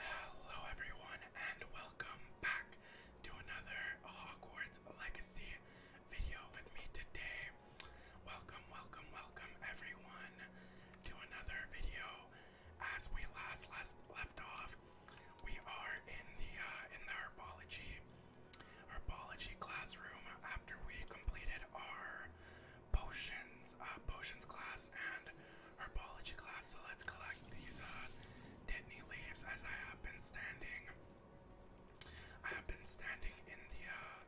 Hello everyone and welcome back to another Hogwarts Legacy video with me today. Welcome, welcome, welcome everyone to another video. As we last last left off, we are in the uh, in the herbology herbology classroom after we completed our potions uh, potions class and herbology class, so let's collect these uh, deadney leaves as I have been standing. I have been standing in the uh,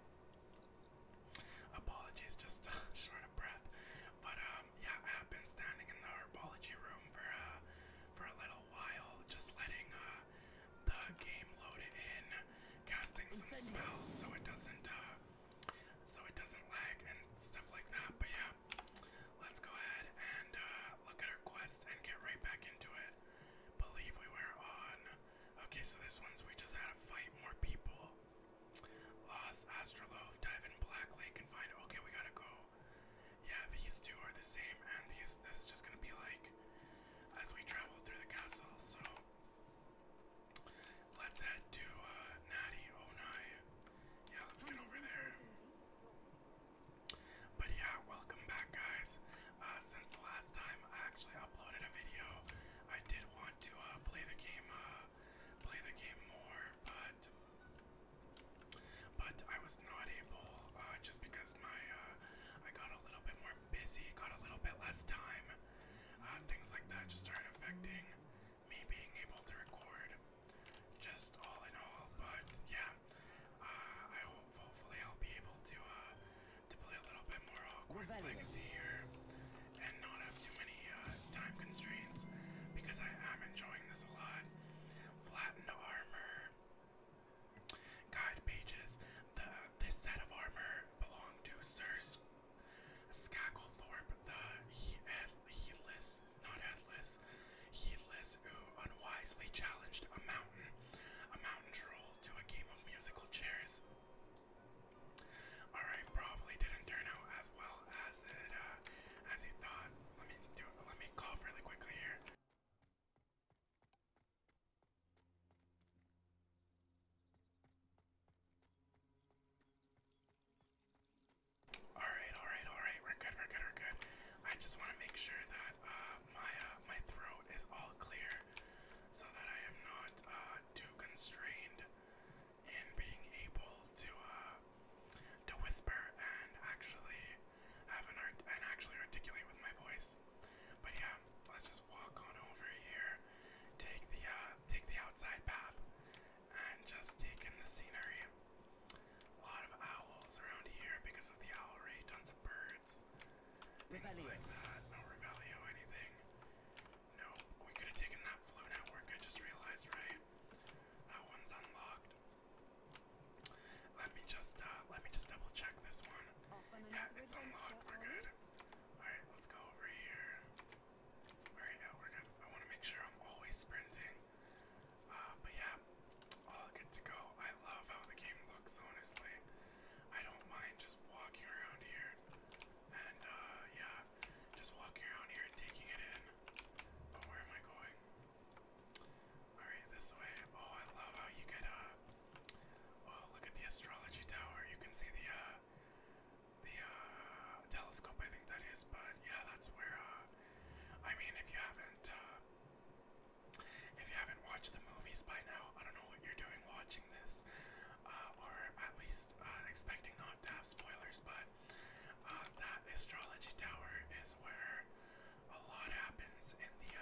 apologies, just uh, short of breath. But um, yeah, I have been standing in the herbology room for uh, for a little while, just letting uh, the game load it in, casting some spells so it doesn't uh, so it doesn't lag and stuff like that. But yeah, let's go ahead and uh, look at our quest and get right back into it. Believe we were on. Okay, so this one's we just had a fight, more people. Lost Astroloaf, dive in Black Lake and find. Okay, we gotta go. Yeah, these two are the same, and these this is just gonna be like as we travel through the castle. So let's head to uh, Natty 09. Yeah, let's get over there. But yeah, welcome back, guys. Uh, since the last time I actually uploaded a video, I did want to uh, play the game, uh, play the game more, but but I was not able just because my I got a little bit more busy, got a little bit less time. things like that just started affecting me being able to record just all in all. But yeah, uh, I hope hopefully I'll be able to uh, to play a little bit more Hogwarts Legacy here and not have too many uh, time constraints because I am enjoying this a lot. Flattened armor. Guide pages. The this set of armor belonged to Sir Sc the he not Atlas, heedless who unwisely challenged a mountain, a mountain troll to a game of musical chairs. Alright, probably didn't turn out as well as it uh, as you thought. Let me do let me cough really quickly here. Alright, alright, alright. We're good, we're good, we're good. I just want to make sure that uh, my, uh, my throat is all clear so that I am not uh, too constrained in being able to, to whisper and actually have an and actually articulate with my voice. But yeah, let's just walk on over here, take the take the outside path, and just taking the scenery. A lot of owls around here because of the owlry, tons of birds, things Revelio. like that. No Revelio, anything. No, we could have taken that flu network, I just realized, right? That one's unlocked. Let me just, uh, let me just double check this one. Yeah, it's unlocked, we're good. Alright, let's go over here. Alright, yeah, we're I want to make sure I'm always sprinting. Uh, but yeah, all oh, good to go. I love how the game looks, honestly. I don't mind just walking around here and, uh, yeah, just walking around here and taking it in. Oh, where am I going? Alright, this way. Oh, I love how you could, uh, oh, look at the astrology tower. You can see the, uh, the, uh, telescope, I think that is, but yeah, that's where, uh, I mean, if you haven't, uh, if you haven't watched the movies by now, I don't know what you're doing watching this, uh, or at least uh, expecting not to have spoilers. But that astrology tower is where a lot happens in the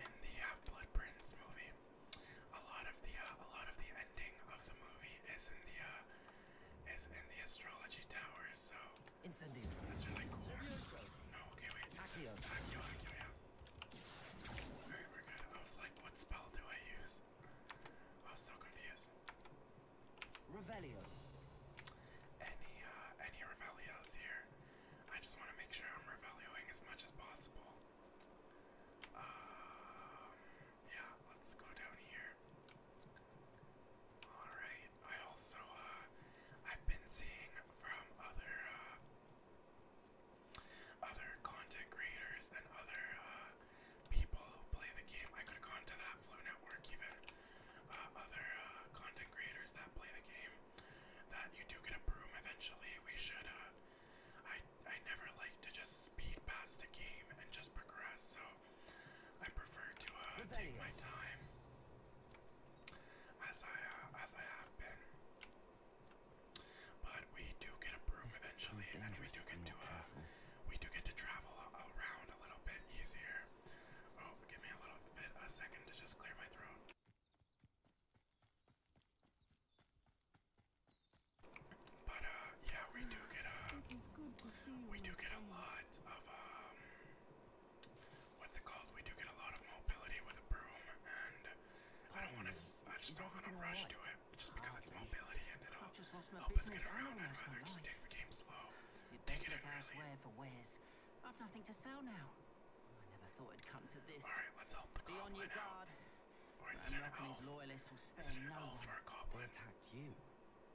in the Blood Prince movie. A lot of the a lot of the ending of the movie is in the is in the astrology tower, so incendiary. that's really cool. No, okay, wait, it says Accio, good. I was like, what spell do I use? I was so confused. Revelio. Any, uh, any Revelios here? I just want to make sure I'm Revelioing as much as possible. Um, yeah, let's go down here. Alright, I also, uh, I've been seeing from other, uh, other content creators and other, uh, people who play the game. I could have gone to that Flu Network even. other, content creators that play the game. That you do get a broom eventually. We should, I, I never like to just speed past a game and just progress, so I prefer to uh, take my time as I uh, as I have been. But we do get a broom eventually, and we do get to uh, we do get to travel around a little bit easier. Oh, give me a little bit a second to just clear my throat. But uh, yeah, we do get a we do get a lot of um, what's it called? We do get a lot of mobility with a broom, and I don't want to. I just not want to rush to it, just because it's mobility and it'll help us get around. I'd rather just take the game slow, take it in early. I've nothing to sell now. I never thought it'd come to this. All right, let's help the Be on your guard. out. Or is it an elf? Is it an elf or Attacked you.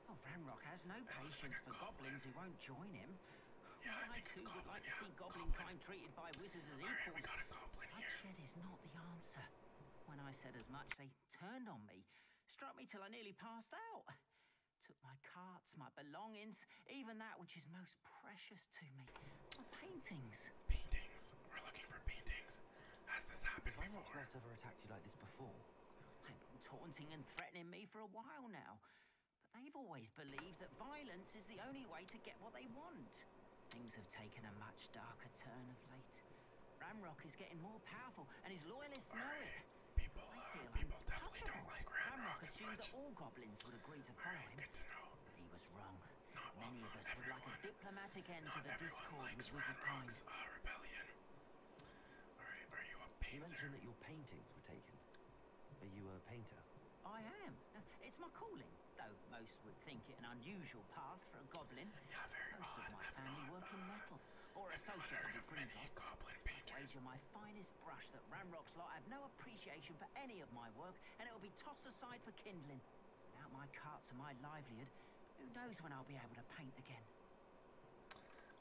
Oh, Ramrock has no patience for goblins who won't join him. I, too would like to see goblin, kind treated by wizards as equals. Right, we got a goblin Bloodshed here. is not the answer. When I said as much, they turned on me, struck me till I nearly passed out. Took my carts, my belongings, even that which is most precious to me. My oh, paintings. Paintings. We're looking for paintings. Has this happened before? Has ever attacked you like this before? They've been taunting and threatening me for a while now. But they've always believed that violence is the only way to get what they want. Things have taken a much darker turn of late. Ramrock is getting more powerful, and his loyalists know it. People, uh, people definitely don't like Ramrock, Ramrock that all goblins would agree to follow right, him. Good to know. But he was wrong. Many of us would like a diplomatic end to the discord which was Ramrock's, uh, rebellion are you a painter? mentioned that your paintings were taken. Are you a painter? I am. It's my calling, though most would think it an unusual path for a goblin. most of my family work in metal or I've associated with goblin painters. These are my finest brush that Ranrock's lot have no appreciation for any of my work, and it'll be tossed aside for kindling. Without my carts and my livelihood, who knows when I'll be able to paint again.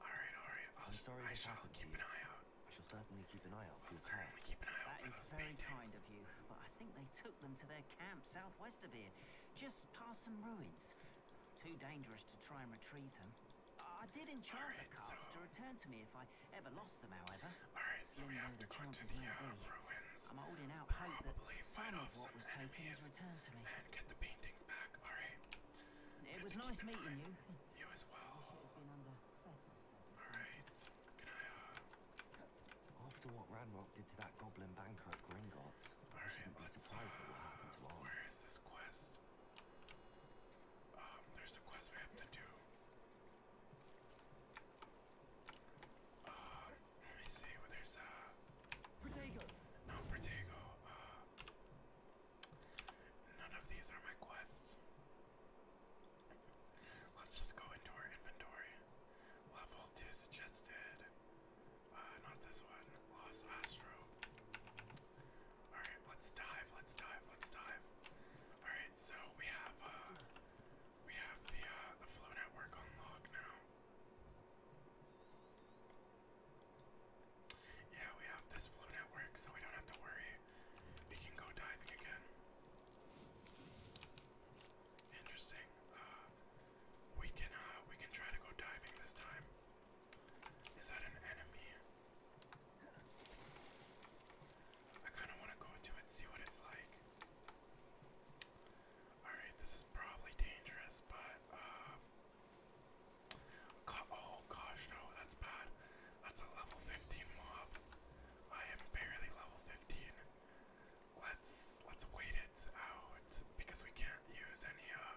All right, all right. I'll, I shall keep an eye out. I shall certainly keep an eye out for I'll your very kind of you, but I think they took them to their camp southwest of here, just past some ruins. Too dangerous to try and retrieve them. I did enchant right, the cards to return to me if I ever lost them, however. Alright, so we have to go to the uh, ruins. I'm holding out hope that some of what was taken is returned to me. And get the paintings back, alright. It was nice meeting you. You as well. Alright. Can uh, After what Ranrock did to that goblin banker at Gringotts, I should be surprised what happened to all. Where is this quest? Um, there's a quest we have to do. Um, let me see. Well, there's, uh... No, Protego. Uh, none of these are my quests. Let's just go into our inventory. Level 2 suggested. Uh, not this one. Lost Astro. Alright, let's dive, let's dive, let's dive. Alright, so we have, uh, we have the, uh, the flow network on now. Yeah, we have this flu network, so we don't have to worry. We can go diving again. Interesting. Uh, we can uh, we can try to go diving this time. Is that an enemy? I kind of want to go to it, see what it's like. All right, this is probably dangerous, but uh, Oh gosh, no, that's bad. That's a level 15 mob. I am barely level 15. Let's let's wait it out because we can't use any uh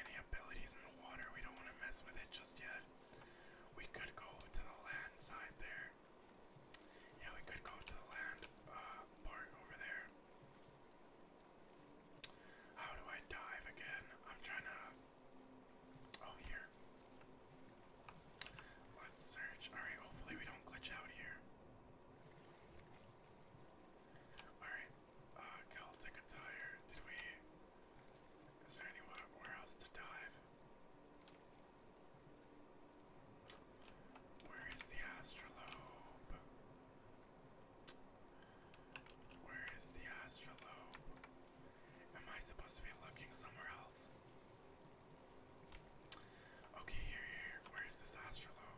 any abilities in the water. We don't want to mess with it just yet. We could go to the land side there. Yeah, we could go to the land uh, part over there. How do I dive again? I'm trying to. Oh, here. Let's search. Alright, hopefully we don't glitch out here. Alright, uh, Celtic attire. Did we. Is there anywhere else to dive? Where is the astrolabe? Where is the astrolabe? Am I supposed to be looking somewhere else? Okay, here, here. Where is this astrolabe?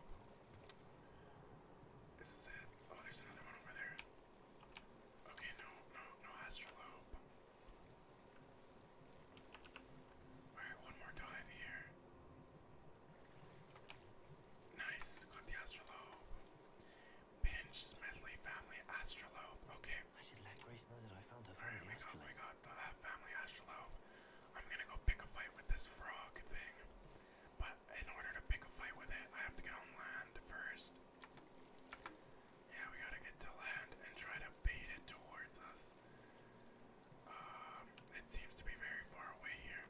Is this it? Oh, there's another one over there. Okay, no, no, no astrolabe. Alright, one more dive here. Nice, got the astrolabe. Pinch, Smedley, family, astrolabe. Okay. I should let Grace know that I found her family. Alright, we got, we got the uh, family astrolabe. I'm gonna go pick a fight with this frog thing. But in order to pick a fight with it, I have to get on land first. Yeah, we gotta get to land and try to bait it towards us. Um, it seems to be very far away here.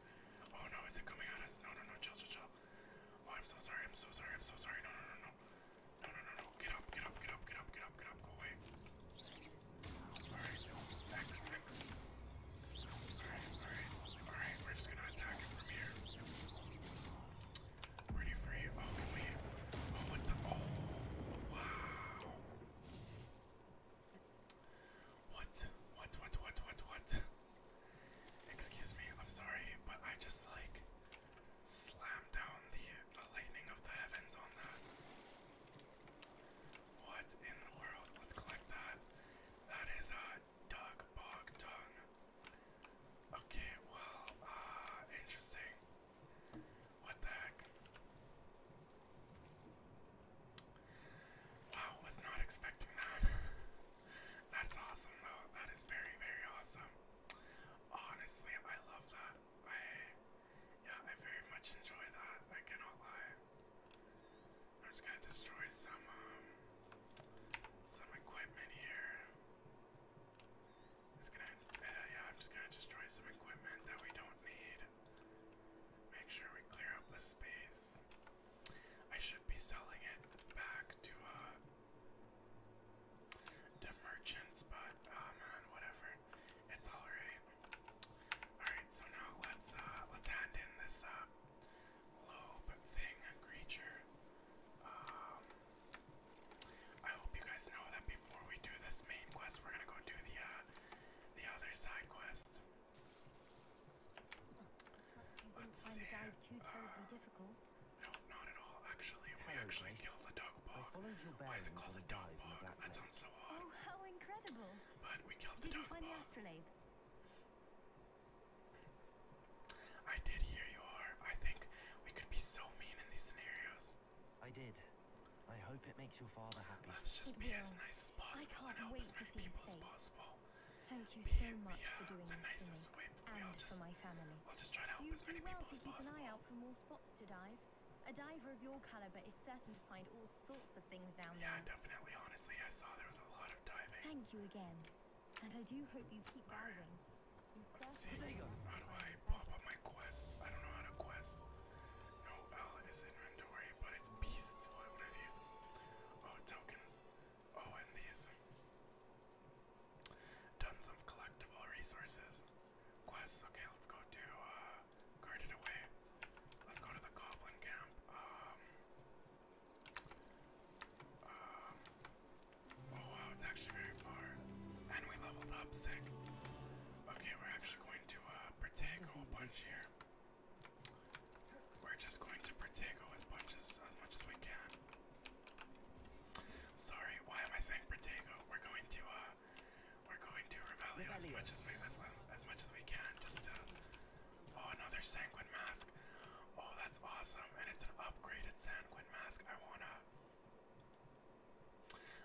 Oh no, is it coming at us? No, no, no, chill, chill, chill. Oh, I'm so sorry, I'm so sorry, I'm so sorry. No, no, no, no. No, no, no, no. Get up, get up, get up, get up, get up, get up, go away. Alright, X, X. Alright, alright, alright, we're just gonna attack it from here. Pretty free. Oh, can we? Oh, what the? Oh, wow. What? What? What? What? What? What? Excuse me. I'm sorry, but I just like slammed down the the lightning of the heavens on that. What in the world? Let's collect that. That is a dog bog tongue. Okay. Well. Uh. Interesting. What the heck? Wow, was not expecting that. That's awesome though. That is very, very awesome. Honestly, I love that. I yeah, I very much enjoy that. I cannot lie. I'm just gonna destroy some um, some equipment here. I'm just gonna uh, yeah, I'm just gonna destroy some equipment that we don't need. Make sure we clear up the space. I should be selling it back to uh to merchants, but oh man, whatever. It's alright. Alright, so now let's uh let's hand in this uh lobe thing creature. Um I hope you guys know that before we do this main quest, we're gonna go do the uh the other side quest. Let's see. No, not at all. Actually, we actually killed a dog bog. Why is it called a dog park? That sounds so odd. Oh, how incredible! did you find the astrolabe? I did. Here you I think we could be so mean in these scenarios. I did. I hope it makes your father happy. Let's just be as nice as possible and help as many people as possible. Thank you so much for doing this for me and for my family. I'll just try to help you as well people keep An eye out for more spots to dive. A diver of your caliber is certain to find all sorts of things down there. Yeah, definitely. Honestly, I saw there was a lot of diving. Thank you again. And I do hope you keep all diving. Let's see. How do I pop up my quest? I don't know how to quest. No L is inventory, but it's beasts. What are these? Oh, tokens. Oh, and these tons of collectible resources. Quests. Okay, let's go to uh, guarded away. Let's go to the goblin camp. Um, um, oh it's actually very far, and we leveled up. Sick. Okay, we're actually going to uh, a whole bunch here. We're just going to Protego as much as as much as we can. Sorry, why am I saying Protego? We're going to uh we're going to Revelio as much as we as well as much as we can just to Oh another sanguine mask. Oh that's awesome and it's an upgraded sanguine mask. I wanna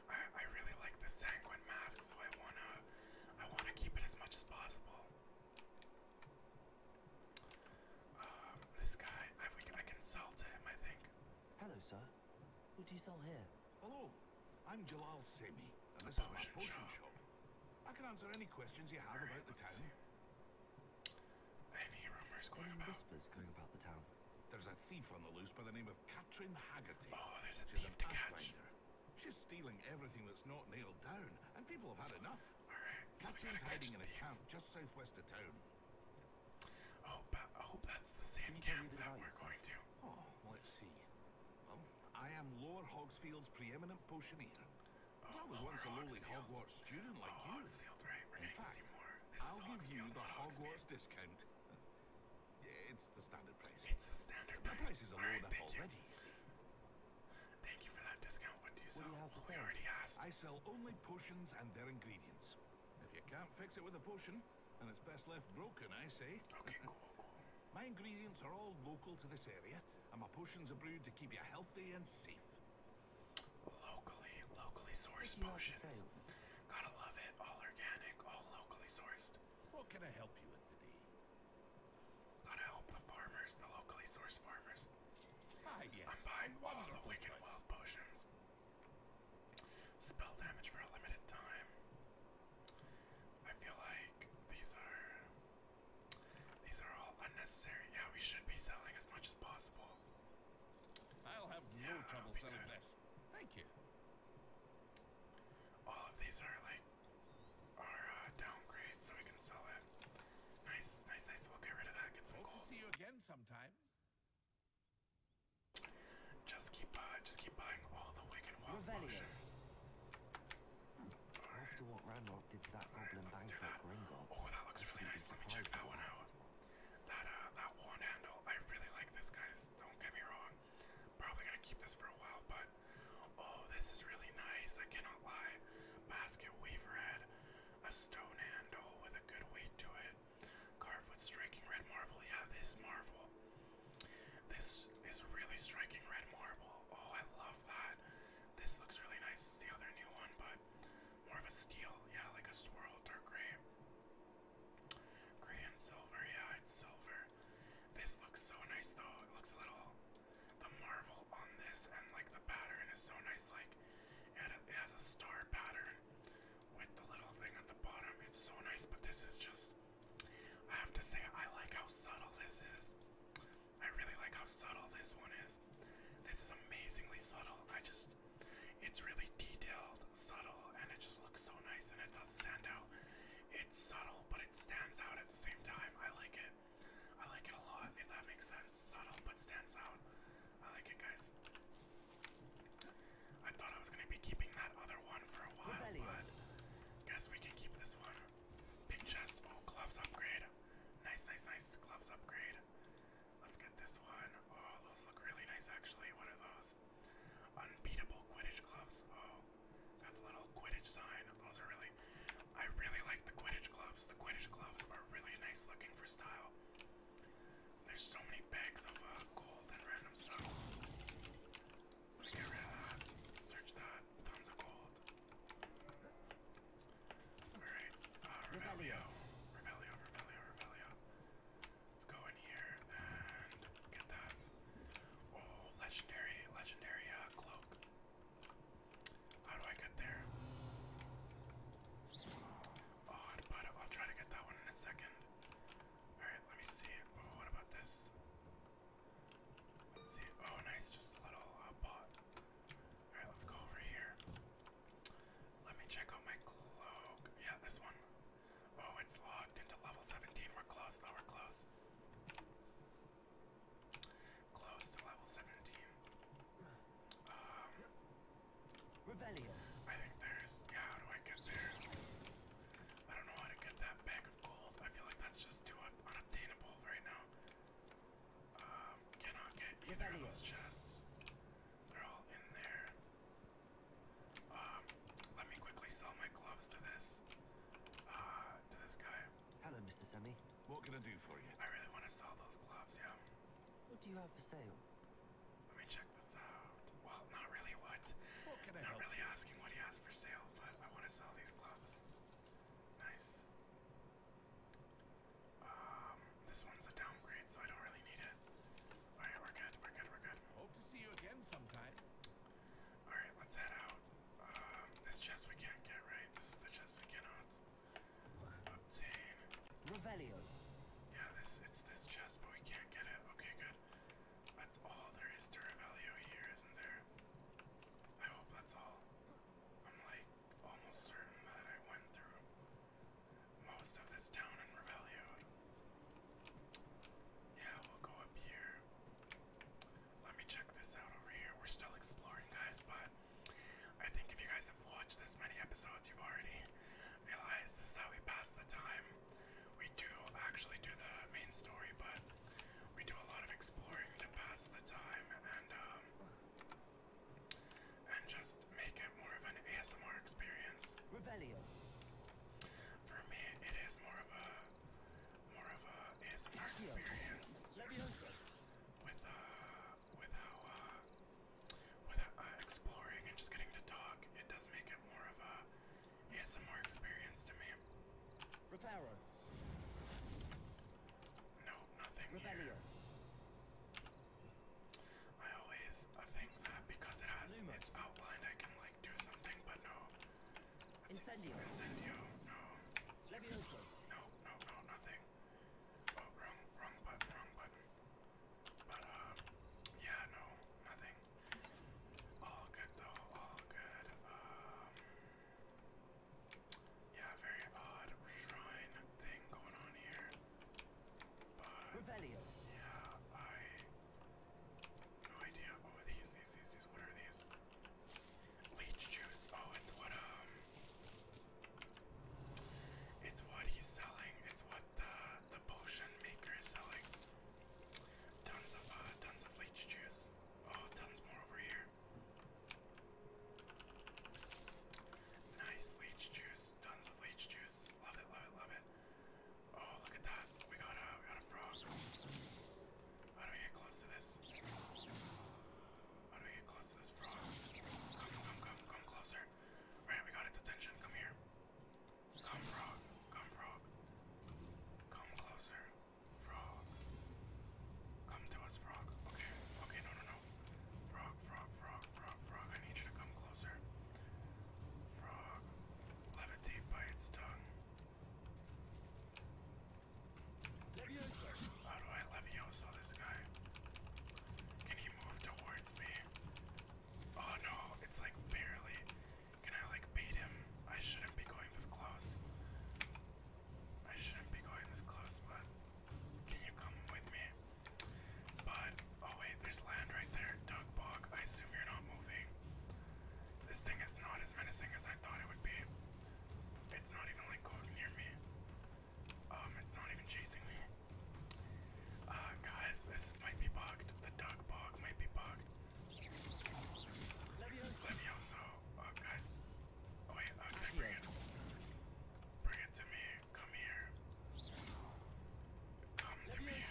I I really like the sanguine mask so I wanna I wanna keep it as much as possible. Uh, this guy, I can sell to him, I think. Hello, sir. What do you sell here? Hello, I'm Jalal Semi, and this is my potion shop. I can answer any questions you have about the town. Any rumors going about? Whispers going about the town. There's a thief on the loose by the name of Katrin Haggerty. Oh, there's a thief She's a to catch. She's stealing everything that's not nailed down, and people have had enough so we gotta catch in a camp just southwest of town. I hope, that's the same camp that we're going to. Oh, let's see. Um, I am Lord Hogsfield's preeminent potioneer. Oh, I was once a lowly Hogwarts student oh, like you. in fact, I'll give you the Hogwarts discount. it's the standard price. It's the standard price. The price is a low already. Thank you for that discount. What do you sell? I sell only potions and their ingredients. If you can't fix it with a potion, then it's best left broken, I say. Okay, cool, cool. My ingredients are all local to this area, and my potions are brewed to keep you healthy and safe. Locally, locally sourced potions. Gotta love it. All organic, all locally sourced. What can I help you with today? Gotta help the farmers, the locally sourced farmers. Ah, I'm buying all the wicked place. wild potions. Spell damage for a limited time. I feel like these are these are all unnecessary. Yeah, we should be selling as much as possible. I'll have yeah, no trouble selling this. Thank you. All of these are like our uh, downgrades, so we can sell it. Nice, nice, nice. We'll get rid of that. Get some gold. Hope gold. see you again sometime. Just keep, uh, just keep buying all the wicked wild potions. Right. After what Randolph did to that all goblin right, banker that. Oh, that looks really nice. Let me check that one out. That uh, that wand handle. I really like this, guys. Don't get me wrong. Probably gonna keep this for a while, but oh, this is really nice. I cannot lie. Basket weaver red a stone handle with a good weight to it, carved with striking red marble. Yeah, this marble. This is really striking red marble. Oh, I love that. This looks really nice. It's the other new one, but more of a steel. Yeah, like a swirl, dark gray. Gray and silver. Yeah, it's silver. This looks so nice, though. It looks a little the marvel on this and like the pattern is so nice like it has a star pattern with the little thing at the bottom it's so nice but this is just i have to say i like how subtle this is i really like how subtle this one is this is amazingly subtle i just it's really detailed subtle and it just looks so nice and it does stand out it's subtle but it stands out at the same time i like it I like it a lot, if that makes sense. Subtle but stands out. I like it, guys. I thought I was gonna be keeping that other one for a while, but guess we can keep this one. Big chest. Oh, gloves upgrade. Nice, nice, nice. Gloves upgrade. Let's get this one. Oh, those look really nice actually. What are those? Unbeatable Quidditch gloves. Oh, got the little Quidditch sign. Those are really. I really like the Quidditch gloves. The Quidditch gloves are really nice looking for style. There's so many bags of uh, gold and random stuff. I'm get rid of that. Search that. Tons of gold. Alright, uh, Revelio. Revelio, Revelio, Revelio. Let's go in here and get that. Oh, legendary, legendary uh, cloak. How do I get there? Oh, I'll try to get that one in a second. Alright, let me see. Oh, what about this? Let's see. Oh, nice. Just a little uh, pot. Alright, let's go over here. Let me check out my cloak. Yeah, this one. Oh, it's logged into level 17. We're close, though. We're close close to level 17. Um, I think there's, yeah, how do I get there? I don't know how to get that bag of gold. I feel like that's just too unobtainable right now. Um, cannot get either of those chests. They're all in there. Um, let me quickly sell my gloves to this, uh, to this guy. Hello, Mr. Semi. What can I do for you? I really want to sell those gloves, yeah. What do you have for sale? Let me check this out. Well, not really what. What can I Not really asking what he has for sale, but I want to sell these gloves. Nice. Um, this one's a downgrade, so I don't really need it. Alright, we're good, we're good, we're good. Hope to see you again sometime. Alright, let's head out. Um, this chest we can't get, right? This is the chest we cannot. Obtain. Revelio. Yeah, this it's this chest, but we can't get it. Okay, good. That's all there is to Revelio here, isn't there? I hope that's all. I'm like almost certain that I went through most of this town in Revelio. Yeah, we'll go up here. Let me check this out over here. We're still exploring, guys, but I think if you guys have watched this many episodes, you've already realized this is how we pass the time. We do actually do the main story, but we do a lot of exploring to pass the time and um, and just make it more of an ASMR experience. Revelio. For me, it is more of a more of a ASMR experience with uh, with uh, with uh, exploring and just getting to talk, it does make it more of a ASMR experience to me. Reparo. No, nothing here. I always think that because it has Lumos. it's outlined, I can like do something, but no. That's incendio. No. No, no, no, nothing. Oh, wrong, wrong button, wrong button. But, uh, yeah, no, nothing. All good, though, all good. Um, yeah, very odd shrine thing going on here. But, yeah, I. No idea. Oh, these, these, these, What are these? Leech juice. Oh, it's what, um. It's what he's selling. It's what the the potion maker is selling. Tons of uh, tons of leech juice. Oh, tons more over here. Nice leech juice. Tons of leech juice. Love it. Love it. Love it. Oh, look at that. We got a we got a frog. How do we get close to this? How do we get close to this frog? Come, come, come, come closer. Right, we got its attention. Come here. Come, frog. Come, frog. Come closer. Frog. Come to us, frog. Okay, okay, no, no, no. Frog, frog, frog, frog, frog. I need you to come closer. Frog. Levitate by its tongue. Leviosa. How do I Leviosa this guy? Can he move towards me? Oh no, it's like barely. Can I like beat him? I shouldn't be going this close. I shouldn't be going this close, but can you come with me? But, oh wait, there's land right there. Doug Bog, I assume you're not moving. This thing is not as menacing as I thought it would be. It's not even like going near me. Um, it's not even chasing me. Uh, guys, this might be bugged. The duck bug might be bugged. Let me also, uh, guys. Oh wait, uh, bring it? Bring it to me. Come here. Come to me.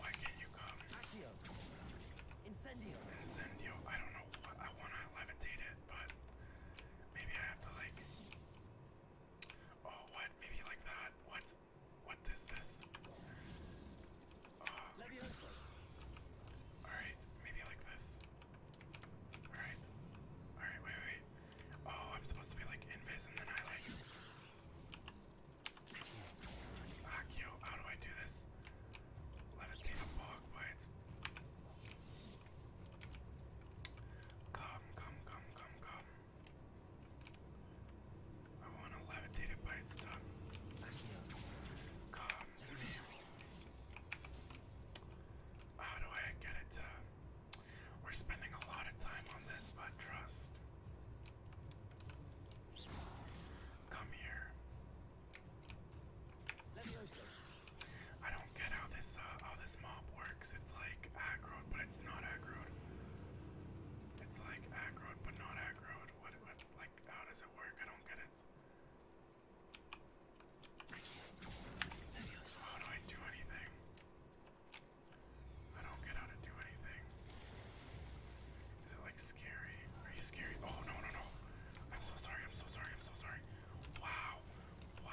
Why can't you come? Incendio. Incendio. I don't know. I wanna levitate it but maybe I have to like. Oh, what? Maybe like that? What? What is this? Ah. Alright, maybe like this. Alright. Alright, wait, wait. Oh, I'm supposed to be like invis and then I like. Akio, ah, how do I do this? Levitate a bog, but it's. Come, come, come, come, come. I want to levitate it by its Come to me. How do I get it to? We're spending a lot of time on this, but trust. Come here. Let me I don't get how this uh, how this mob works. It's like aggro, but it's not aggro. It's like aggro, but not aggro. What? What's like? How does it work? I don't get it. How do I do anything? I don't get how to do anything. Is it like scary? Are you scary? Oh no no no! I'm so sorry. I'm so sorry. I'm so sorry. Wow. Wow.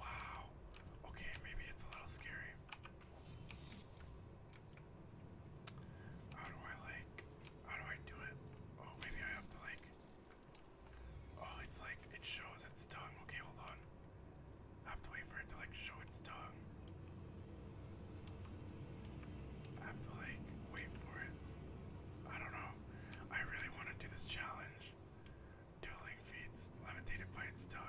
Wow. Okay, maybe it's a little scary. How do I like how do I do it? Oh maybe I have to like Oh it's like it shows its tongue. Okay, hold on. I have to wait for it to like show its tongue. have to like wait for it. I don't know. I really want to do this challenge. Dueling feats levitated by its tongue.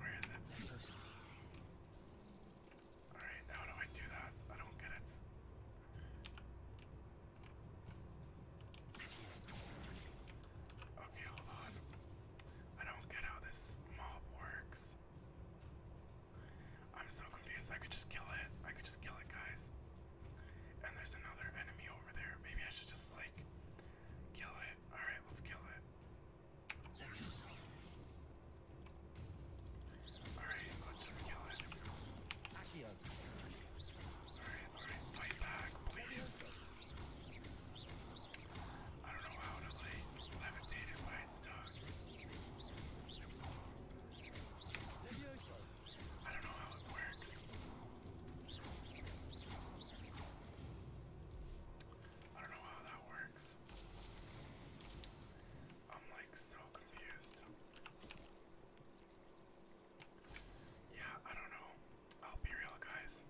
Where is it? Alright, how do I do that? I don't get it. Okay, hold on. I don't get how this mob works. I'm so confused. I could just kill it. I could just kill it, guys. And there's another enemy over there. Maybe I should just, like, kill it. Alright, let's kill it. Alright, let's just kill it. fight back, please. I don't know how to, like, levitate it by its tongue. I don't know how it works. I don't know how that works. I'm like so confused. Yeah, I don't know. I'll be real, guys.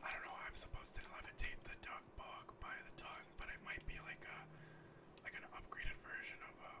I don't know. I'm supposed to levitate the dog bog by the tongue, but it might be like a like an upgraded version of uh,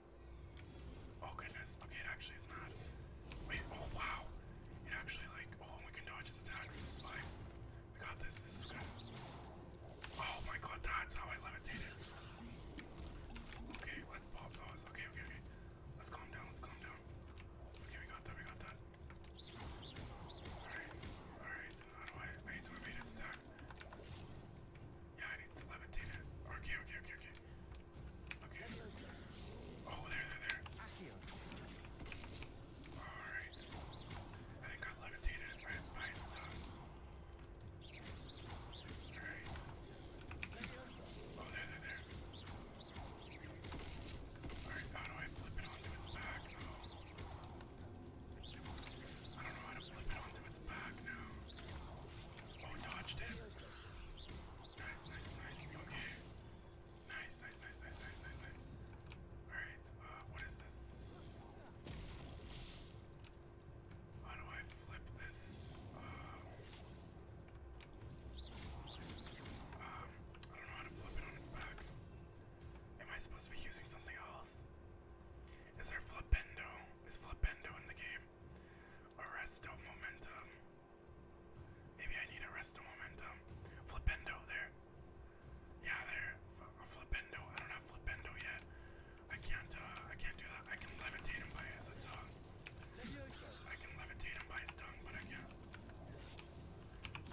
Oh goodness. Okay, it actually is mad. Wait, oh wow. It actually like oh we can dodge his attacks. This is like we got this, this is good. Oh my god, that's how I levitated. Okay, let's pop those. Okay, okay, okay. Let's calm down, let's calm down. Okay, we got that, we got that. Alright, alright. How do I I need to evade its attack? Yeah, I need to levitate it. Okay, okay, okay, okay. Okay. Oh, there, there, there. Alright. I think I levitated by, by its tongue. Alright. Oh, there, there, there. Alright, how do I flip it onto its back, though? I don't know how to flip it onto its back now. Oh, dodged it. Nice, nice, nice. Okay. Nice, nice, nice, nice, nice, nice, nice. Alright, uh, what is this? How do I flip this? Um, I don't know how to flip it on its back. Am I supposed to be using something else? Is there flipendo? Is flipendo in the game? Arresto momentum. Maybe I need a rest of momentum. Flipendo there. Yeah, there. F flipendo. I don't have flipendo yet. I can't. Uh, I can't do that. I can levitate him by his tongue. Uh, I can levitate him by his tongue, but I can't.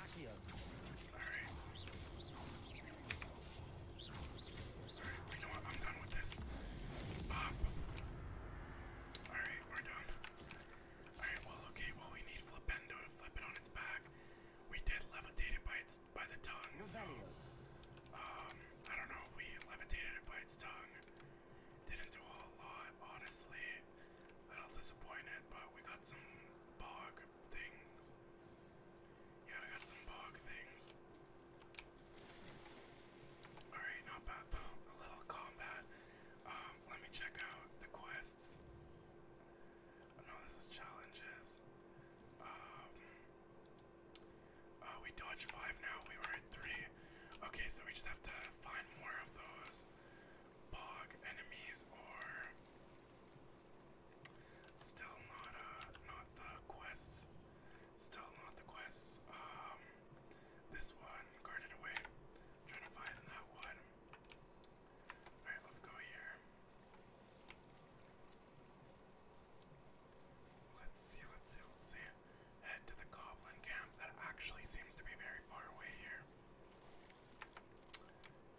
All right. All right. You know what? I'm done with this. Bop. All right, we're done. Alright, well, okay, well, we need Flipendo to flip it on its back. We did levitate it by, its, by the tongue, Um, I don't know we levitated it by its tongue. Didn't do a whole lot, honestly. A little disappointed, but we got some bog things. Yeah, we got some bog things. Alright, not bad um, A little combat. Um, let me check out the quests. Oh no, this is challenges. Um, oh, we dodged five now. We were at three. Okay, so we just have to find more of those bog enemies or still not uh not the quests. Still not the quests. This one guarded away. trying to find that one. Alright, let's go here. Let's see, let's see, let's see. Head to the goblin camp. That actually seems to be very far away here.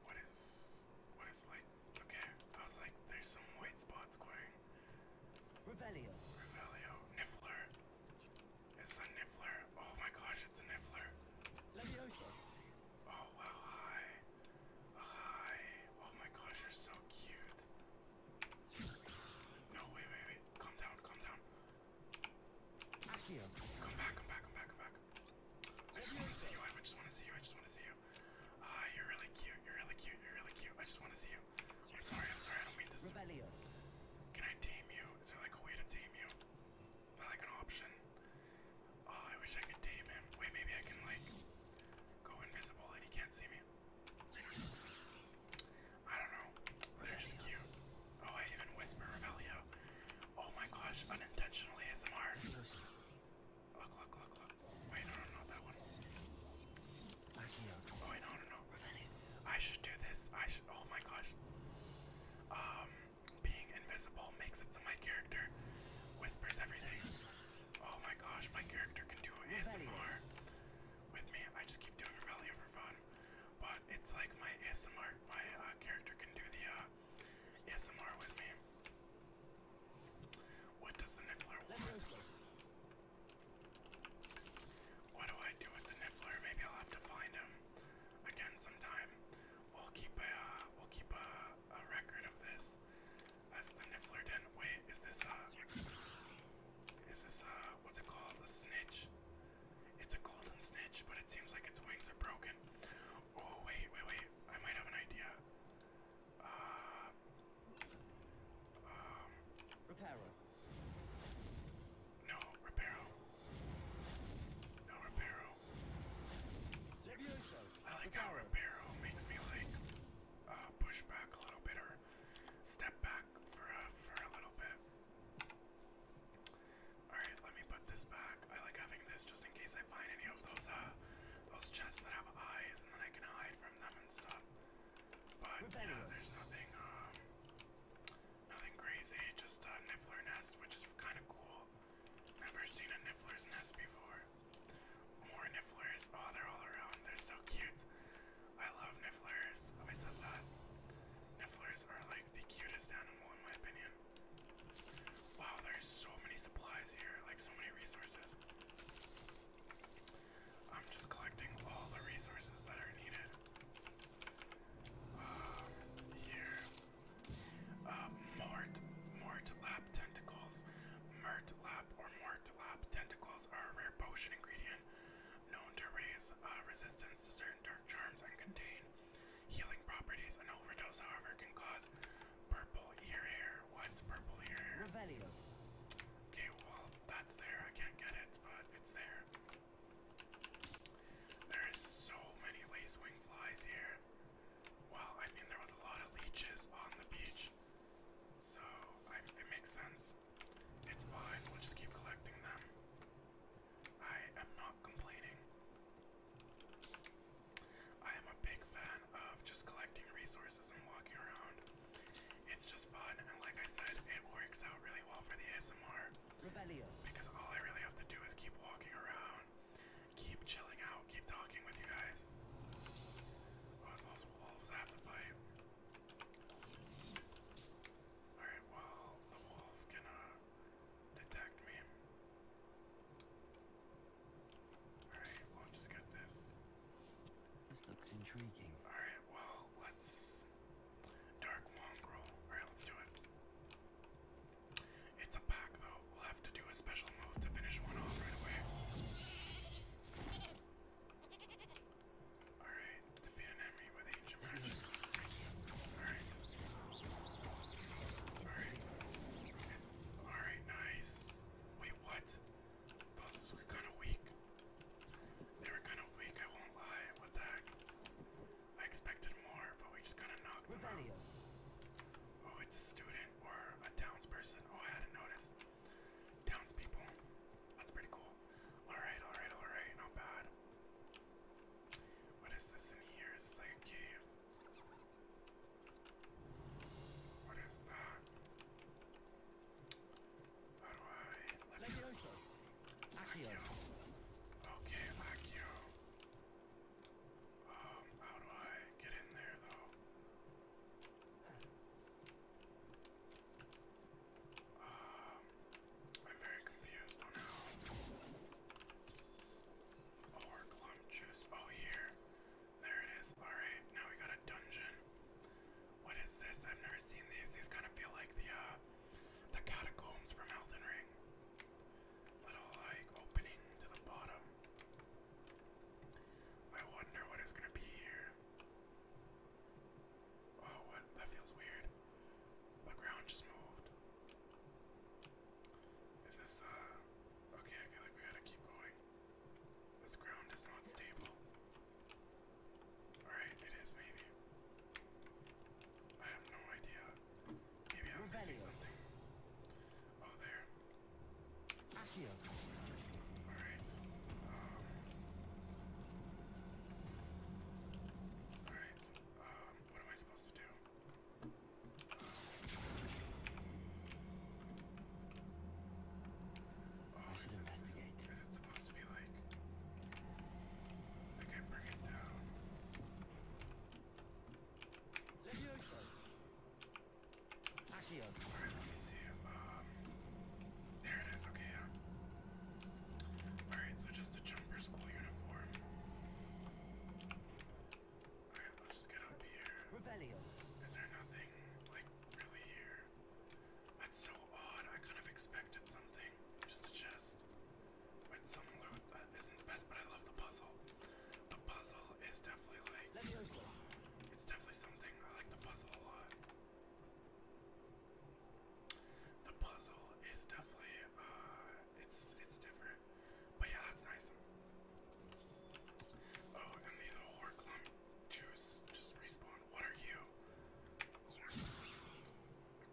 What is what is like okay. I was like, there's some white spots going. Revelio. Revelio. Niffler. It's a niffler. Oh my gosh, it's a niffler. Oh wow, hi. Hi. Oh my gosh, you're so cute. No, wait, wait, wait. Calm down, calm down. Come back, come back, come back, come back. I just want to see you. I just want to see you. I just want to see you. Ah, uh, you're really cute. You're really cute. You're really cute. I just want to see you. I'm sorry, I'm sorry, I don't mean to. Rebellion. Can I tame you? Is there like a way to tame you? Is that like an option? Oh, I wish I could tame him. Wait, maybe I can like go invisible and he can't see me. I don't know. They're just cute. Oh, I even whisper Revelio. Oh my gosh, Unintentionally, ASMR. Look, look, look, look. Wait, no, no, not that one. Oh, wait, no, no, no. I should do this. I should. Oh my gosh. Um, being invisible makes it so my character whispers everything. Oh my gosh, my character can do ASMR with me. I just keep doing Revelio for fun, but it's like my ASMR. My uh, character can do the uh, ASMR with me. What does the Niffler want? What do I do with the Niffler? Maybe I'll have to find him again sometime. We'll keep a uh, we'll keep a, a record of this as the Niffler didn't wait. Is this a uh, is this uh what's it called? A snitch? It's a golden snitch, but it seems like its wings are broken. Oh wait, wait, wait! I might have an idea. Uh, um, no, Reparo. No, Reparo. I like how Reparo makes me like uh, push back a little bit or step back for a, uh, for a little bit. Alright, let me put this back. I like having this just in case I find any of those uh those chests that have eyes and then I can hide from them and stuff. But there's nothing um, Nothing crazy, just a niffler nest, which is kind of cool. Never seen a niffler's nest before. More nifflers. Oh, they're all around. They're so cute. I love nifflers. I always love that. Nifflers are like the cutest animal in my opinion. Wow, there's so many supplies here, like so many resources. I'm just collecting all the resources that are needed. Um, here. Uh, Mort, Tentacles. Mert or Mort Tentacles are a rare potion ingredient known to raise uh, resistance to certain dark charms and contain healing properties. An overdose, however, can cause purple ear hair. What's purple ear hair? Revelio. Okay, well, that's there. I can't get it, but it's there. There is so many lacewing flies here. Well, I mean, there was a lot of leeches on the beach, so it makes sense. It's fine, we'll just keep collecting them. I am not complaining. I am a big fan of just collecting resources and walking around. It's just fun, and like I said, it works out really well for the ASMR. Because all I really have to do is keep walking around, keep chilling out, keep talking with you guys. Oh, it's those wolves I have to fight. Alright, well, the wolf can uh, detect me. Alright, we just get this. This looks intriguing. Alright, well, let's Dark Mongrel. Alright, let's do it. It's a pack, though. We'll have to do a special move to finish one off right away. Alright, defeat an enemy with ancient magic. Alright. Alright. Alright, nice. Wait, what? Those were kind of weak. They were kind of weak, I won't lie. What the heck? I expected more, but we just kind to knock them out. Oh, it's a student or a townsperson. Oh, I hadn't noticed. Townspeople. That's pretty cool. Alright, alright, alright, not bad. What is this in here? It's like a cave? What is that? How do I let me Accio. Okay, Accio. Um, how do I get in there though? Um, I'm very confused on how. Oh, our clump juice. Oh, here. There it is. Alright, now we got a dungeon. What is this? I've never seen these. These kind of feel like the, uh, the catacombs from Elden Ring. Little like opening to the bottom. I wonder what is gonna be here. Oh, what? That feels weird. The ground just moved. Is this, uh. Okay, I feel like we gotta keep going. This ground is not stable. Alright, it is maybe. I have no idea. Maybe I'm missing something. Oh, there. Alright. Um, Alright. Um, what am I supposed to do? Um, oh, is it supposed to be like like I can bring it down. Alright, let me see. Um, there it is. Okay, Alright, so just a jumper school uniform. Alright, let's just get up here. Is there nothing like really here? That's so odd. I kind of expected something. to suggest with some loot isn't the best, but I love the puzzle. The puzzle is definitely like it's definitely something I like the puzzle a lot. The puzzle is definitely uh, it's it's different. But yeah, that's nice. Oh, and the horror juice just respawned. What are you?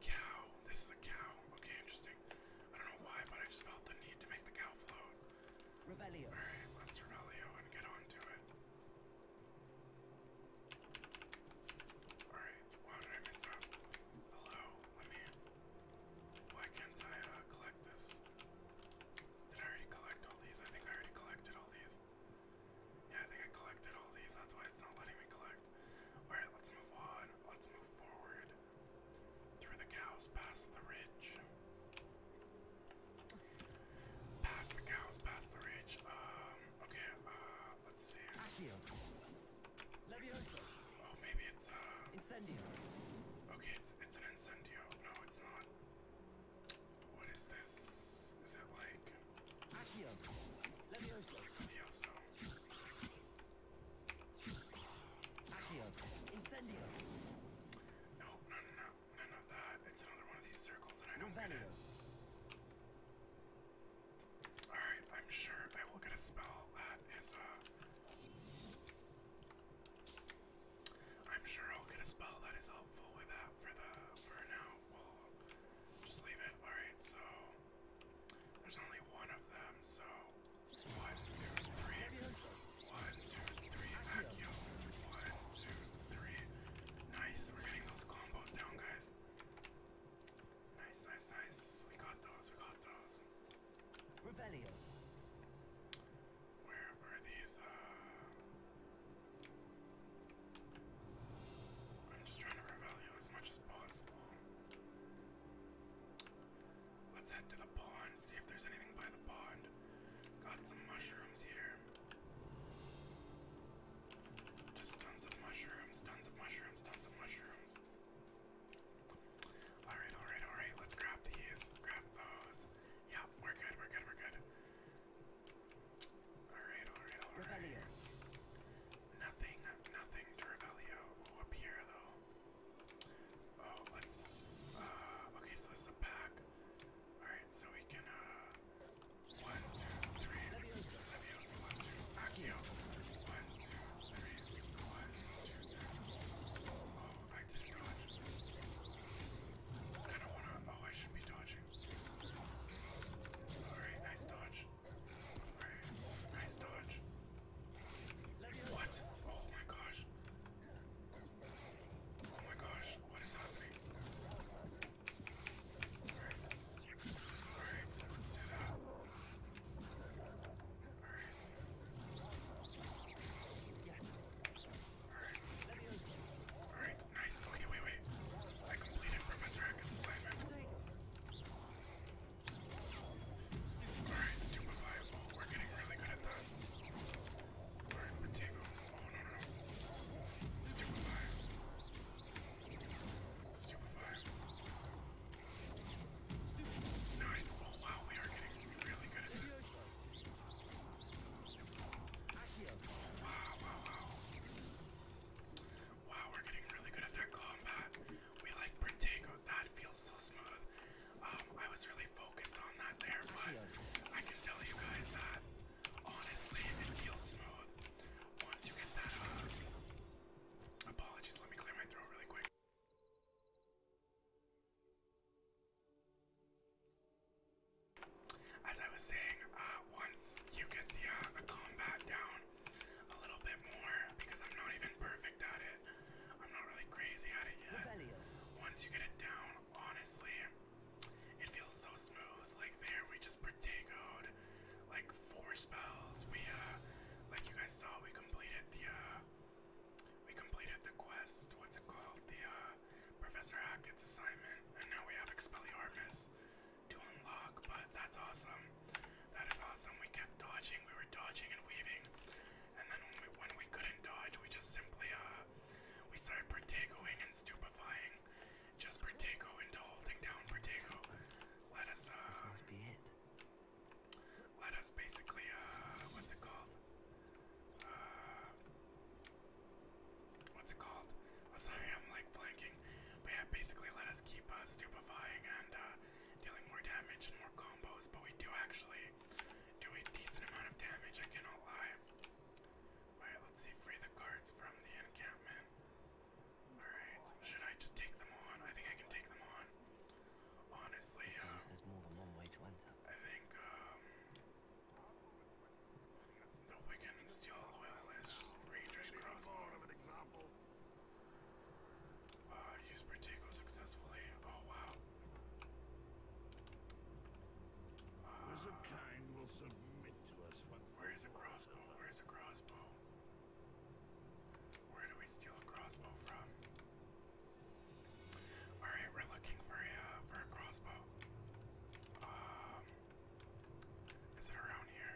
Cow. This is a cow. Okay, interesting. I don't know why, but I just felt the need to make the cow float. Revelio. Alright, let's Revelio and get on it. Alright, why did I miss Hello, let me. Why can't I uh, collect this? Did I already collect all these? I think I already collected all these. Yeah, I think I collected all these. That's why it's not letting me collect. Alright, let's move on. Let's move forward through the cows, past the ridge. Past the cows, past the ridge. Um, okay, uh, let's see. Oh, maybe it's uh incendio. Okay, it's it's an incendio. No, it's not. What is this? Is it like Levioso? Incendio. No, no, no, no, none of that. It's another one of these circles, and I don't Valio. get it. Alright, I'm sure I will get a spell that is, uh. I'm sure I'll get a spell that is helpful with that for the. For now, we'll just leave it. Alright, so. There's only one of them, so one, two, three, one, two, three, vacuum, one, two, three. Nice, we're getting those combos down, guys. Nice, nice, nice. We got those, we got those. Revelio. Where are these? Uh, I'm just trying to revelio as much as possible. Let's head to the pond, see if there's anything by the pond. Got some mushrooms here. Just tons of mushrooms, tons of mushrooms, tons of mushrooms. Alright, alright, alright. Let's grab these. Grab those. Yeah, we're good, we're good, we're good. Alright, alright, alright. Nothing, nothing, Dragalio. Oh, up here though. Oh, let's. Uh, okay, so this is a pack. Alright, so we can. Uh, one, two, three. Leviosa, one, two. Accio. One, two, three. One, two, three. Oh, I didn't dodge. I kinda wanna. Oh, I should be dodging. Alright, nice dodge. Right. Nice dodge. What? Oh my gosh. Oh my gosh, what is happening? Alright. Alright, let's do that. Alright. Alright. Alright, nice. Okay, wait, wait. I completed Professor Hackett's assignment. Alright, stupefiable. We're getting really good at that. Alright, Patago. Oh no no no. Stupefy. Stupefy. Nice. Oh wow, we are getting really good at this. Wow, wow, wow. Wow, we're getting really good at that combat we like Protego. That feels so smooth. Um, I was really focused on that there, but I can tell you guys that honestly, it feels smooth once you get that. Uh, apologies, let me clear my throat really quick. As I was saying, uh, once you get the uh, combat down, a little bit more because I'm not even perfect at it. I'm not really crazy at it yet. Once you get it down, honestly, it feels so smooth. Like there, we just partagoed like four spells. We, uh, like you guys saw, we completed the, uh, we completed the quest. What's it called? The, uh, Professor Hackett's assignment. And now we have Expelliarmus to unlock, but that's awesome. That is awesome. We kept dodging. We were dodging and weaving. And then when we, when we couldn't dodge, we just simply, uh, we started Protegoing and stupefying. Just Protego into holding down Protego. Let us, uh, this must be it. Let us basically, uh, what's it called? Uh, what's it called? Oh, sorry, I'm like blanking. But yeah, basically let us keep uh, stupefying and uh, dealing more damage and more combos, but we do actually do a decent amount of damage, I cannot lie. Alright, let's see, free the guards from the encampment. Alright, should I just take them on? I think I can take them on. Honestly, um, there's more than one way to enter. I think um the Wiccan Steel Oil is Ranger's Crossbow. Of an example uh, Protego successfully. Oh wow. Uh, Was kind will submit to us once. Where is a crossbow? Where is a crossbow? Where do we steal a crossbow from? All right, we're looking for a uh, for a crossbow. Um, is it around here?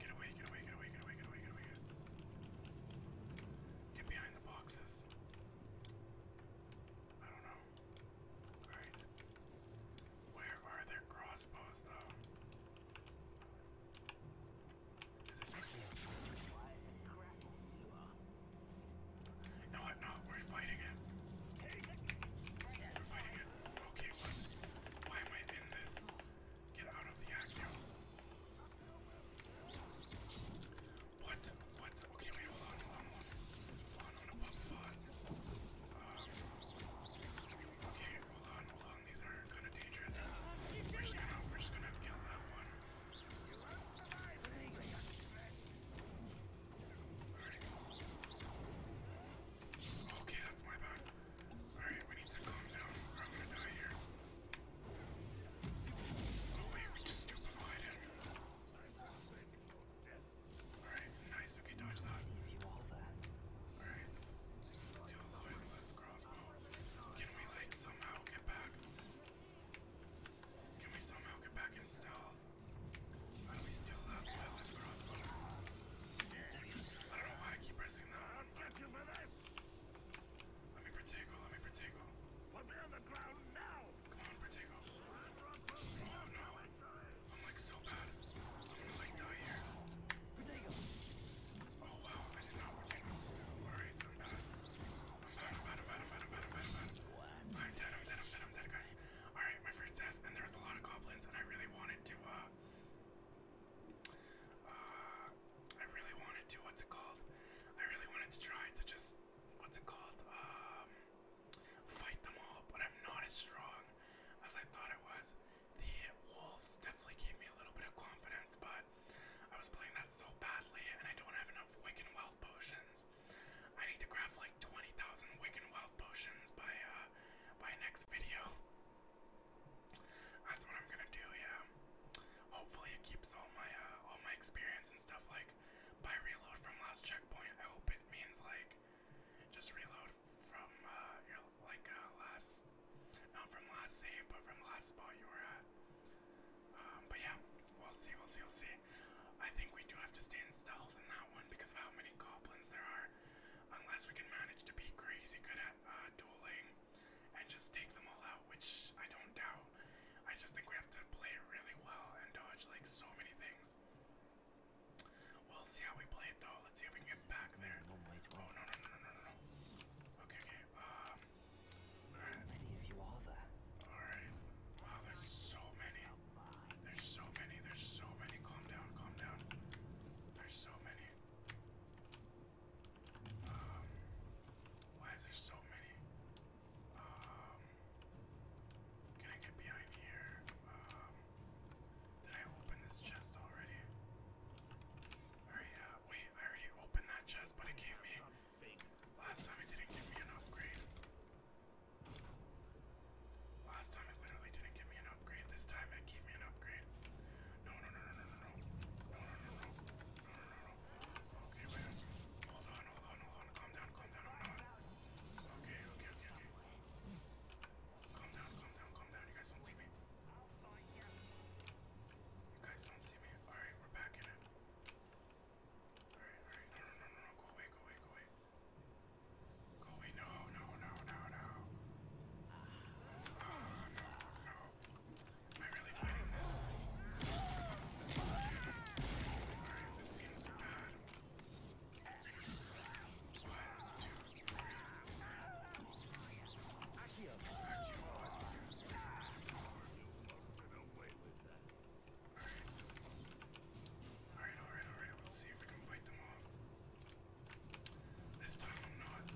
Get away, get away, get away, get away, get away, get away. Get behind the boxes. I don't know. Alright. Where are their crossbows though? Is this like No I'm not, we're fighting it. We're fighting it. Okay, what? Why am I in this? Get out of the acro. What? What? Okay, wait, hold on, hold on, hold on. Hold on, hold on, um, Okay, hold on, hold on. These are kind of dangerous. We're just gonna, we're just gonna kill that one. Alright. Okay, that's my bad. Alright, we need to calm down or I'm gonna die here. Oh wait, we just stupefied it. Alright, it's nice. Okay, dodge that. Alright, still loyalist crossbow. Can we like somehow get back? Can we somehow get back in stealth? How do we steal that loyalist crossbow? I don't know why I keep pressing that. I'll get you for this. Let me Protego, let me Protego. Put me on the ground now! Come on, Protego. Oh no. I'm like so bad. I'm gonna like die here. Protego. Oh wow, I did not Protego. Alright, I'm bad. I'm bad, I'm bad, I'm bad, I'm bad, I'm bad, I'm bad, I'm bad. I'm dead, I'm dead, I'm dead, I'm dead, guys. Alright, my first death, and there was a lot of goblins, and I really wanted to, uh, uh, I really wanted to, what's it called? I really wanted to try to just, what's it called? Um, fight them all, but I'm not as strong as I thought I was. The wolves definitely gave me a little bit of confidence, but I was playing that so badly, and I don't have enough Wicked Wild potions. I need to craft like 20,000 Wicked Wild potions by uh, by next video. That's what I'm gonna do, yeah. Hopefully it keeps all my uh, all my experience and stuff like by reload from last checkpoint. I hope it means like just reload from uh, like uh, last not from last save, but from last spot you were at. Um, but yeah, we'll see, we'll see, we'll see. I think we do have to stay in stealth in that one because of how many goblins there are. Unless we can manage to be crazy good at dueling and just take them all out, which I don't doubt. I just think we have to play it really well and dodge like so many things. We'll see how we play it though. Let's see if we can get back mm, there. Oh no no no no no no. Okay okay. Um. Alright. Many of you are there. Alright. Wow, there's so many. There's so many. There's so many. Calm down. Calm down. There's so many why is there so many? can I get behind here? did I open this chest already? wait, I already opened that chest, but it gave me. Last time it didn't give me an upgrade. Last time it literally didn't give me an upgrade. This time it gave me an upgrade. No, no, no, no, no, no, no, no, no, no, no, no, no, no, no, Okay, wait. Hold on, hold on, hold on. Calm down, calm down, calm down. Okay, okay, okay, okay. Calm down, calm down, calm down. You guys don't see me. You guys don't see me. Alright, we're back in it. Alright, alright. No, no, no, no, no. Go away, go away, go away. Go away. No, no, no, no, no. Oh, no, no. Am I really fighting this? Alright, this seems bad. One, two, three. Akio. Akio, one, two, three, four. Alright. Alright, alright, alright. Let's see if we can fight them off. This time I'm not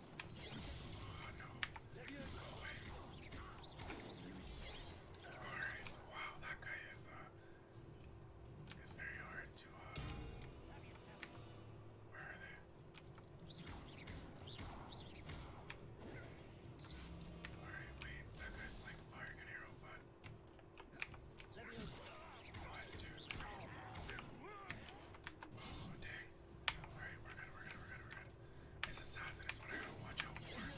Oh no. Go away. Alright, wow, that guy is uh it's very hard to uh where are they? Alright, wait, that guy's like firing an arrow, but what, dude? Oh, dang right. Alright, we're good, we're good, we're good, we're good. This assassin is what I gotta watch out for. Alright, alright.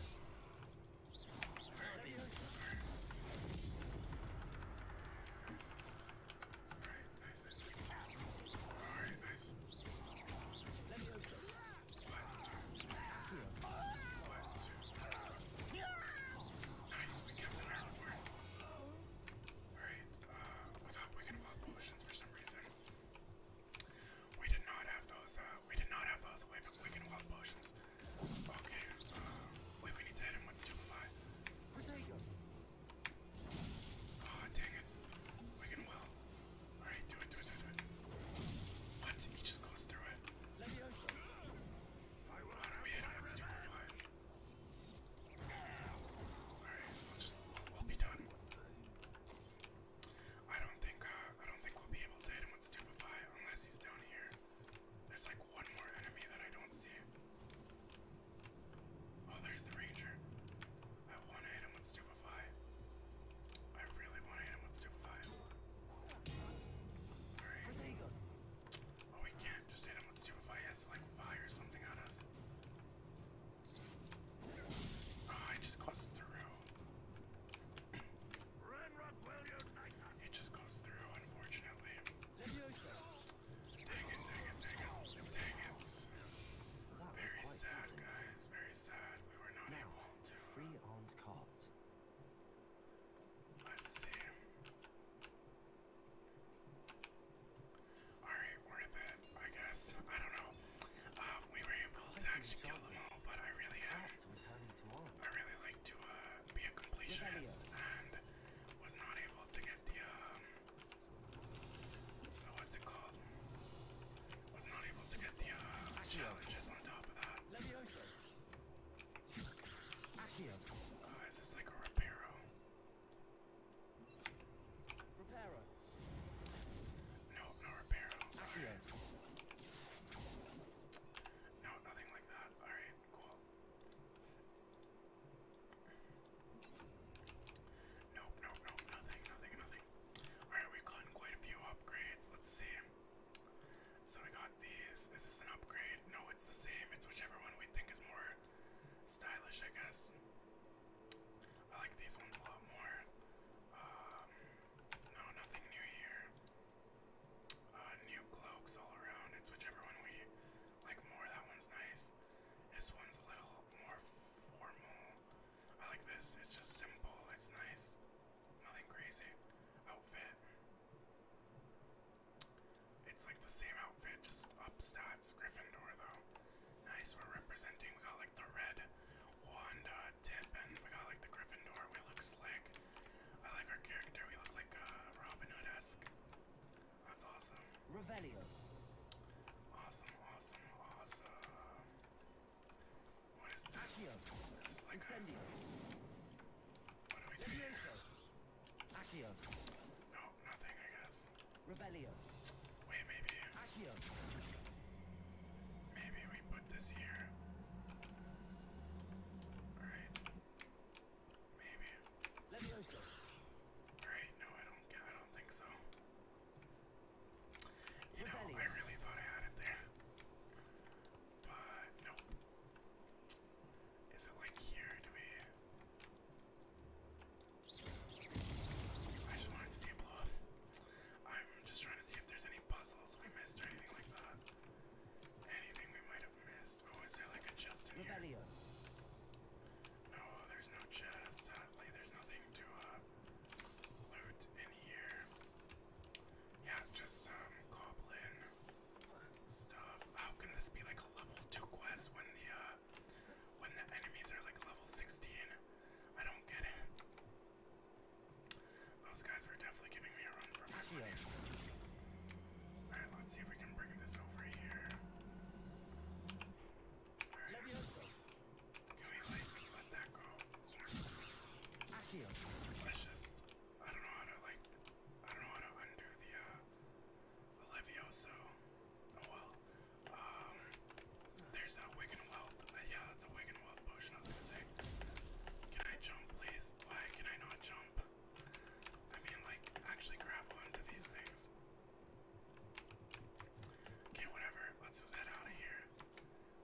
Alright, nice, nice, nice. Alright, nice. What? What? Nice, we kept it out for Alright, uh, we got wicked wild potions for some reason. We did not have those. Uh, we did not have those wicked wild potions. Okay. Uh, wait, we need to hit him with stupefy. Oh dang it! Wicked wild. All right, do it, do it, do it, do it. What? He just goes through it. Why do we hit him with stupefy? Alright, we'll just, we'll, we'll be done. I don't think uh, I don't think we'll be able to hit him with stupefy unless he's down here. There's like one more enemy that I don't see. Oh, there's the ranger. I want to hit him with stupefy. I really want to hit him with stupefy. All right. Oh, we can't just hit him with stupefy. He has to like fire something at us. Oh, it just goes through. it just goes through, unfortunately. Dang it, dang it, dang it, dang it. Very sad, guys. Very sad. We were not now, able to. Free uh, owns cards. Let's see. Alright, worth it. I guess. I don't know. Uh, we were able to actually kill them all, but I really I really like to uh, be a completionist and was not able to get the, um, uh, what's it called? Was not able to get the uh, challenges on top of that. Uh, is this like a Reparo? No, no repair. Alright. No, nothing like that. Alright, cool. Nope, nope, nope, nothing, nothing, nothing. Alright, we've gotten quite a few upgrades. Let's see. So we got these. Is this an upgrade? No, it's the same. It's whichever one we think is more stylish, I guess. I like these ones a lot more. Um, no, nothing new here. Uh, new cloaks all around. It's whichever one we like more. That one's nice. This one's a little more formal. I like this. It's just simple. It's nice. Nothing crazy. Outfit. It's like the same outfit, just up stats. Gryffindor though. Nice. we representing. We got like the red wand tip, and we got like the Gryffindor. We look slick. I like our character. We look like uh, Robin Hood esque. That's awesome. Revelio. Awesome, awesome, awesome. What is this? Incendio. a. Accio. No, nothing, I guess. Revelio. Wait, maybe. Maybe we put this here. Alright. Maybe. Alright, no, I don't I don't think so. You know, I really thought I had it there. But nope. Is it like here? Do we I just wanted to see it blow I'm just trying to see if there's any puzzles we missed or anything like that. Anything we might have missed. Oh, is there like a chest in here? No, there's no chest. Sadly, there's nothing to uh, loot in here. Yeah, just some goblin stuff. How can this be like a level two quest when the uh, when the enemies are like level 16? I don't get it. Those guys were definitely giving me a run for my money. Alright, let's see if we can bring this over here. Right. Can we like let that go? Let's just I don't know how to like I don't know how to undo the uh the Levioso. Oh well. Um, there's that Wigan Wealth. Uh, yeah, that's a Wigan Wealth potion, I was gonna say. Can I jump, please? Why can I not jump? I mean, like, actually grab onto these things. Okay, whatever. Let's just head out of here.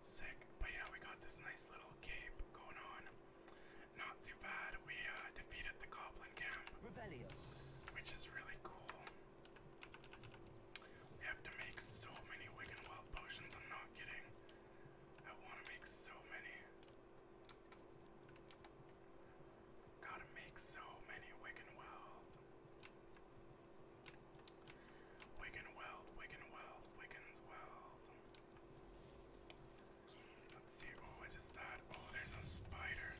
Sick. But yeah, we got this nice little cape going on. Not too bad. We uh, defeated the Goblin Camp, which is really cool. We have to make so many Wigan Wild potions, I'm not kidding. I want to make so many. Gotta make so many Wigan Wild. Wigan Wild, Wigan Wild, Wigan's Wild. Let's see, oh, what is that? Oh, there's a spider.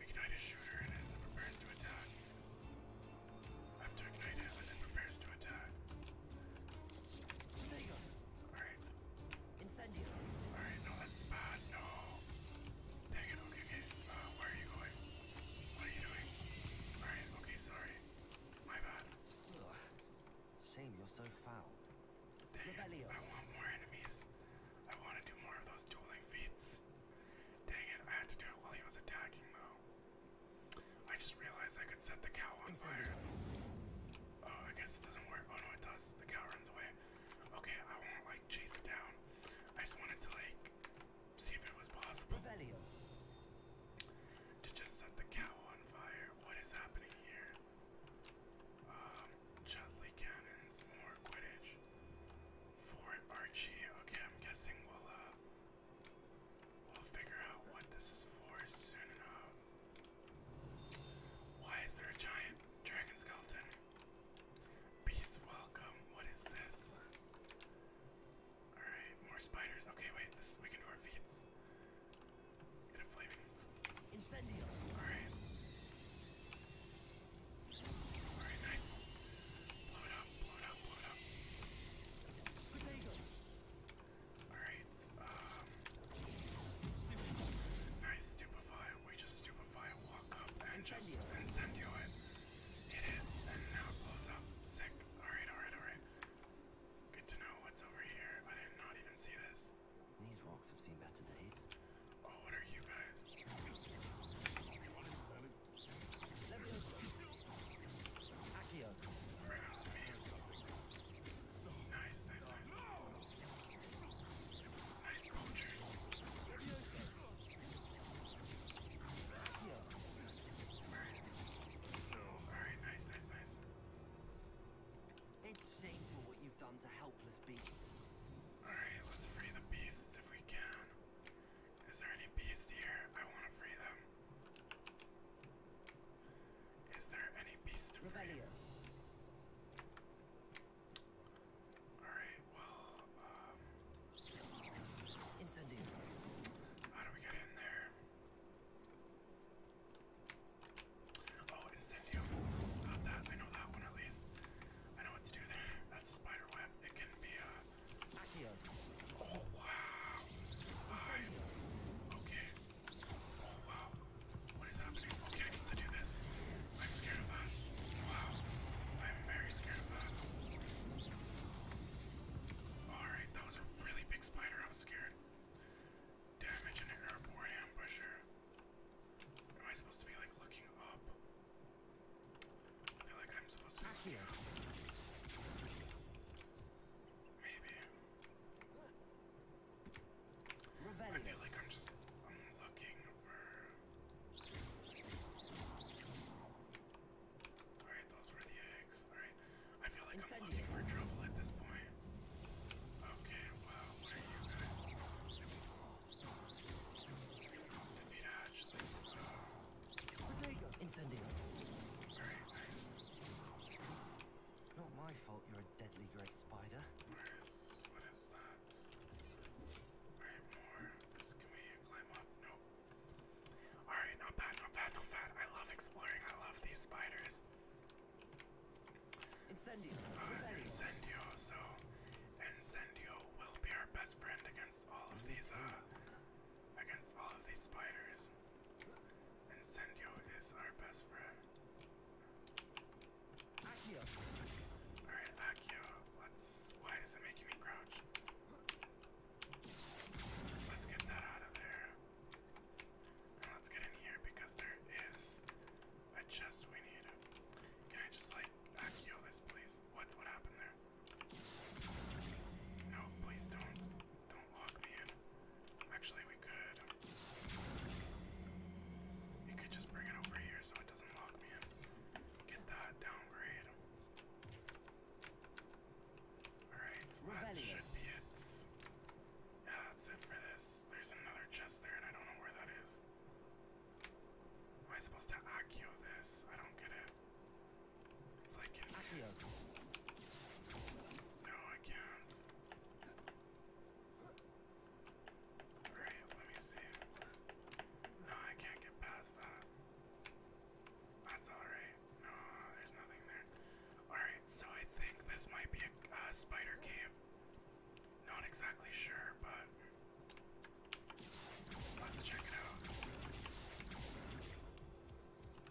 Ignite a shooter and it prepares to attack. After ignite it as prepares to attack. Alright. Incendio. Alright, no, that's bad. No. Dang it, okay, okay. Uh, where are you going? What are you doing? Alright, okay, sorry. My bad. Shame you're so foul. Dang it, I want more enemies. I want to do more of those dueling feats. Dang it, I had to do it while he was attacking, though. I just realized I could set the cow on fire. Oh, I guess it doesn't work. Oh no, it does. The cow runs away. Okay, I won't like chase it down. I just wanted to like see if it was possible to just set the cow on fire. What is happening here? Um, Chudley cannons, more Quidditch. Archie. Okay, I'm guessing we'll uh We'll figure out what this is for soon enough. Why is there a giant dragon skeleton? Peace, welcome. What is this? Alright, more spiders. Okay, wait, this we can do our feats. Get a flaming. Incendio. Alright. Alright, nice. Blow it up, blow it up, blow it up. Alright, um. Nice, stupefy. We just stupefy, walk up, and just incendio it. Hit it, and now it blows up. Sick. Alright, alright, alright. Good to know what's over here. I did not even see this. These rocks have seen better days. Oh, what are you guys? Nice, nice, nice. Nice poachers. Alright, oh, right. nice, nice, nice. It's shameful what you've done to helpless beasts. Alright, let's free the beasts if we can. Is there any beast here? I want to free them. Is there any beast to free? Alright, well, um. How do we get in there? Oh, incendio. Got that. I know that one at least. I know what to do there. That's spider It can be, uh. Oh wow! Hi. Okay. Oh wow. What is happening? Okay, I need to do this. I'm scared of that. Wow. I'm very scared of that. Alright, that was a really big spider. I was scared. Damage an airborne ambusher. Am I supposed to be like looking up? I feel like I'm supposed to be here. Maybe. I feel like I'm just I'm looking for. Alright, those were the eggs. Alright. I feel like I'm looking for trouble at this point. Okay, wow, where are you guys? Defeat Hatch. Like, oh. Uh, Incendio. Not my fault you're a deadly great spider. Nice. What is that? Alright, more. This, can we climb up? Nope. Alright, not bad, not bad, not bad. I love exploring. I love these spiders. Incendio. Uh, incendio. So, Incendio will be our best friend against all of these, uh, against all of these spiders. Incendio is our best friend. Akio. Alright, Akio, let Why is it making me crouch? Let's get that out of there. let's get in here because there is a chest we need. Can I just, like, Akio this, please? What, what happened there? No, please don't. Don't lock me in. Actually, we could. You could just bring it over here so it doesn't lock me in. Get that downgrade. Alright, that should be it. Yeah, that's it for this. There's another chest there, and I don't know where that is. Am I supposed to accio this? I don't get it. It's like if... No, I can't. Alright, let me see. No, I can't get past that. That's alright. No, there's nothing there. Alright, so I think this might be a spider cave. Not exactly sure, but let's check it out.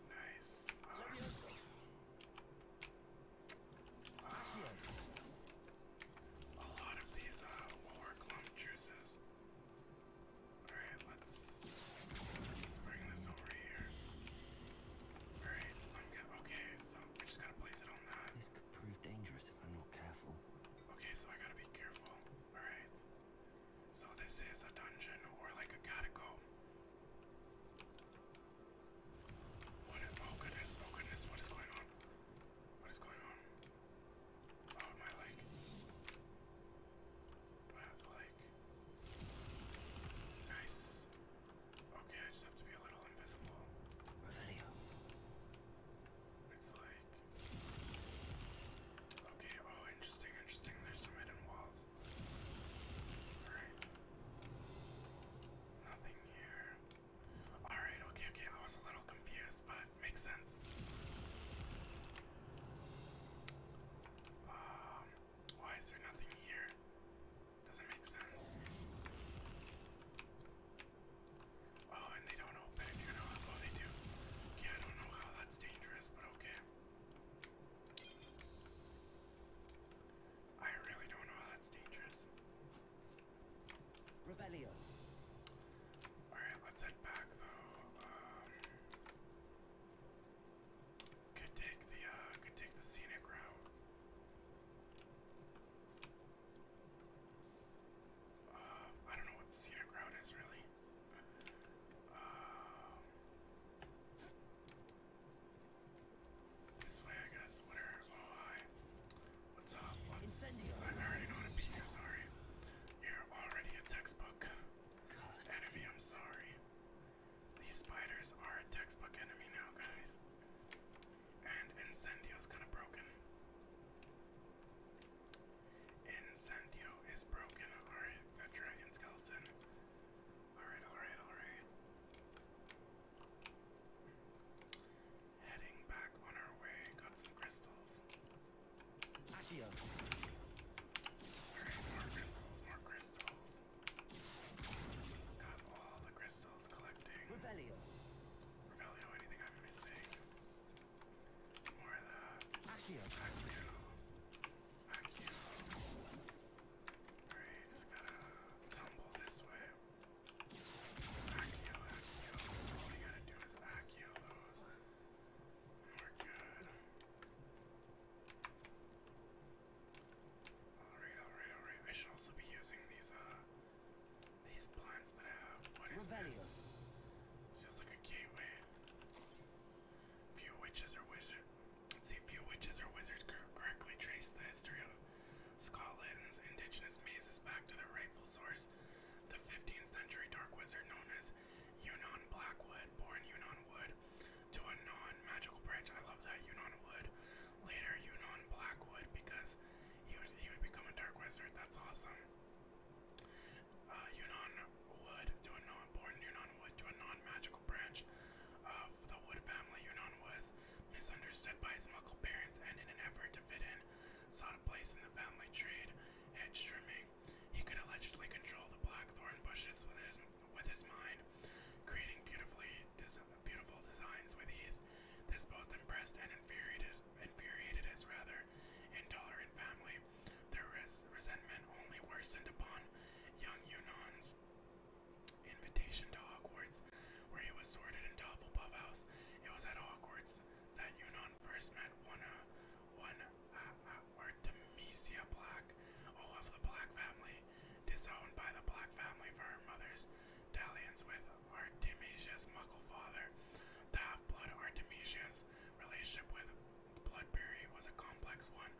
Nice. Ah. a lot of these uh, war clump juices. Alright, let's let's bring this over here. Alright, Okay, so we just gotta place it on that. This could prove dangerous if I'm not careful. Okay, so I gotta be careful. Alright. So this is a dungeon or like a catacomb. oh goodness, oh goodness, what is going on? What is going on? Oh, my leg. Do I have to like? Nice. Okay, I just have to be a little invisible. Revelio. It's like. Okay, oh, interesting, interesting. There's some hidden walls is. Alright. Nothing here. Alright, okay, okay. I was a little confused, but makes sense. Um, why is there nothing here? Doesn't make sense. Oh, and they don't open if you're not. Oh, they do. Okay, I don't know how that's dangerous, but okay. I really don't know how that's dangerous. Revelio. Alright, let's head back though. Um, could take the uh could take the scenic route. Uh, I don't know what the scenic route is really. Uh, this way, I guess. What Oh, hi. What's up? What's? I already know how to beat you. Sorry. You're already a textbook enemy. I'm sorry. These spiders are a textbook enemy now, guys. And Incendio's kind of broken. Incendio is broken. Alright, that dragon skeleton Alright, alright, alright. Heading back on our way. Got some crystals. Accio. Alright, more crystals, more crystals. Got all the crystals collecting. Revelio. Revelio, anything I'm missing? More of that. Accio. Accio. Thank you. Alright, it's gotta tumble this way. Accio, accio. All we gotta do is accio those. And we're good. Alright, alright, alright. I should also be using these, uh, these plants that I have. What is Rebellion. this? This feels like a gateway. Few witches or wizards. let correctly trace the history of Scotland's indigenous mazes back to their rightful source. The 15th century dark wizard known as Yunon Blackwood, born Yunon Wood, to a non magical branch. I love that, Yunon Wood. Later, Yunon Blackwood, because he would, become a dark wizard. That's awesome. Uh, Yunon Wood to a non important Yunonwood to a non-magical branch of the Wood family. Yunon was misunderstood by his muggle parents and in an effort to fit in, sought a place in the family tree. hedge trimming. He could allegedly control the black thorn bushes with his, with his mind, creating beautifully beautiful designs with ease. This both impressed and infuriated, his rather intolerant family. Their resentment only worsened upon young Yunan's invitation to Hogwarts, where he was sorted into Hufflepuff House. It was at Hogwarts that Yunan first met one, uh, one, uh, uh, Artemisia Black, all of the Black family, disowned by the Black family for her mother's dalliance with Artemisia's muggle father. The half-blood Artemisia's relationship with Bloodberry was a complex one.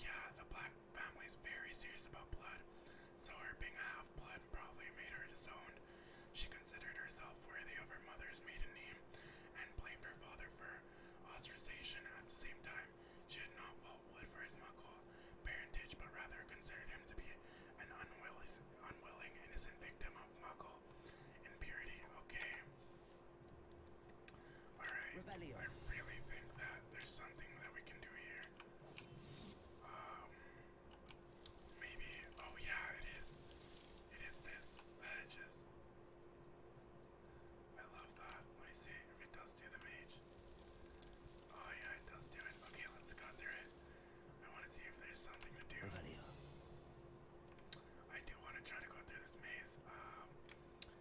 yeah, the Black family's very serious about blood, so her being a half blood probably made her disowned. She considered herself worthy of her mother's maiden name and blamed her father for ostracization. At the same time, she did not fault Wood for his Muggle parentage, but rather considered him to be an unwilling, unwilling innocent victim of Muggle impurity. Okay. Alright, I really think that there's something that we can do here. Um, maybe, oh yeah, it is. It is this, the edges. I love that. Let me see if it does do the mage. Oh yeah, it does do it. Okay, let's go through it. I want to see if there's something to do. I do want to try to go through this maze. Um,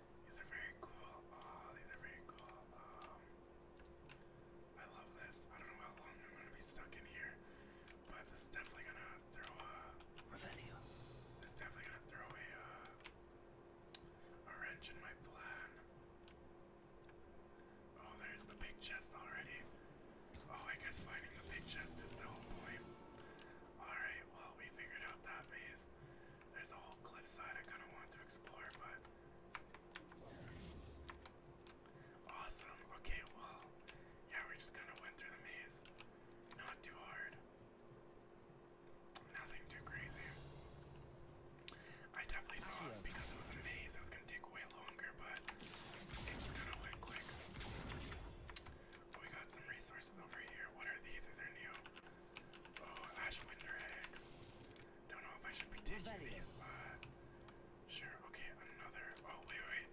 these are very cool. Oh, these are very cool. Um, I love this. I don't know how long I'm gonna be stuck in here, but this is definitely gonna throw a. Revelio. This is definitely gonna throw uh, a wrench in my plan. Oh, there's the big chest already. Oh, I guess finding the big chest is the whole point. Alright, well, we figured out that maze. There's a whole cliffside I kind of want to explore, but awesome. Okay, well, yeah, we just kind of went through the maze. Not too hard. Nothing too crazy. I definitely thought because it was a maze, it was gonna take way longer, but it just kind of went quick. We got some resources over here. What are these? These are new. Oh, Ash eggs. Don't know if I should be taking these, but sure. Okay, another. Oh wait, wait.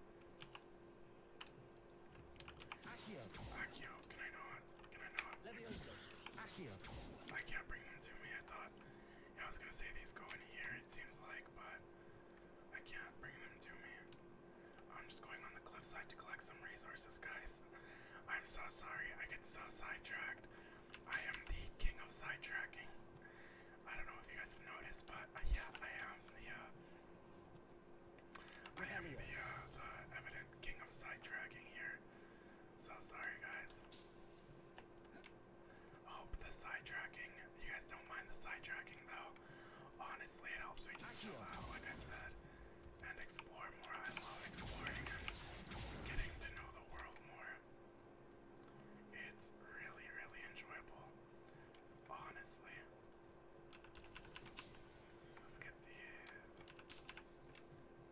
Accio. Accio. Can I not? Can I not? Leviosa. Accio. I can't bring them to me. I thought. I was gonna say these go in here. It seems like, but I can't bring them to me. I'm just going on the cliffside to collect some resources, guys. I'm so sorry. I get so sidetracked. I am the king of sidetracking. I don't know if you guys have noticed, but uh, yeah, I am the uh, I am the uh, the evident king of sidetracking here. So sorry, guys. hope the sidetracking. You guys don't mind the sidetracking though. Honestly, it helps me just chill out, like I said and explore more. I love exploring and getting to know the world more. It's really, really enjoyable, honestly. Let's get these.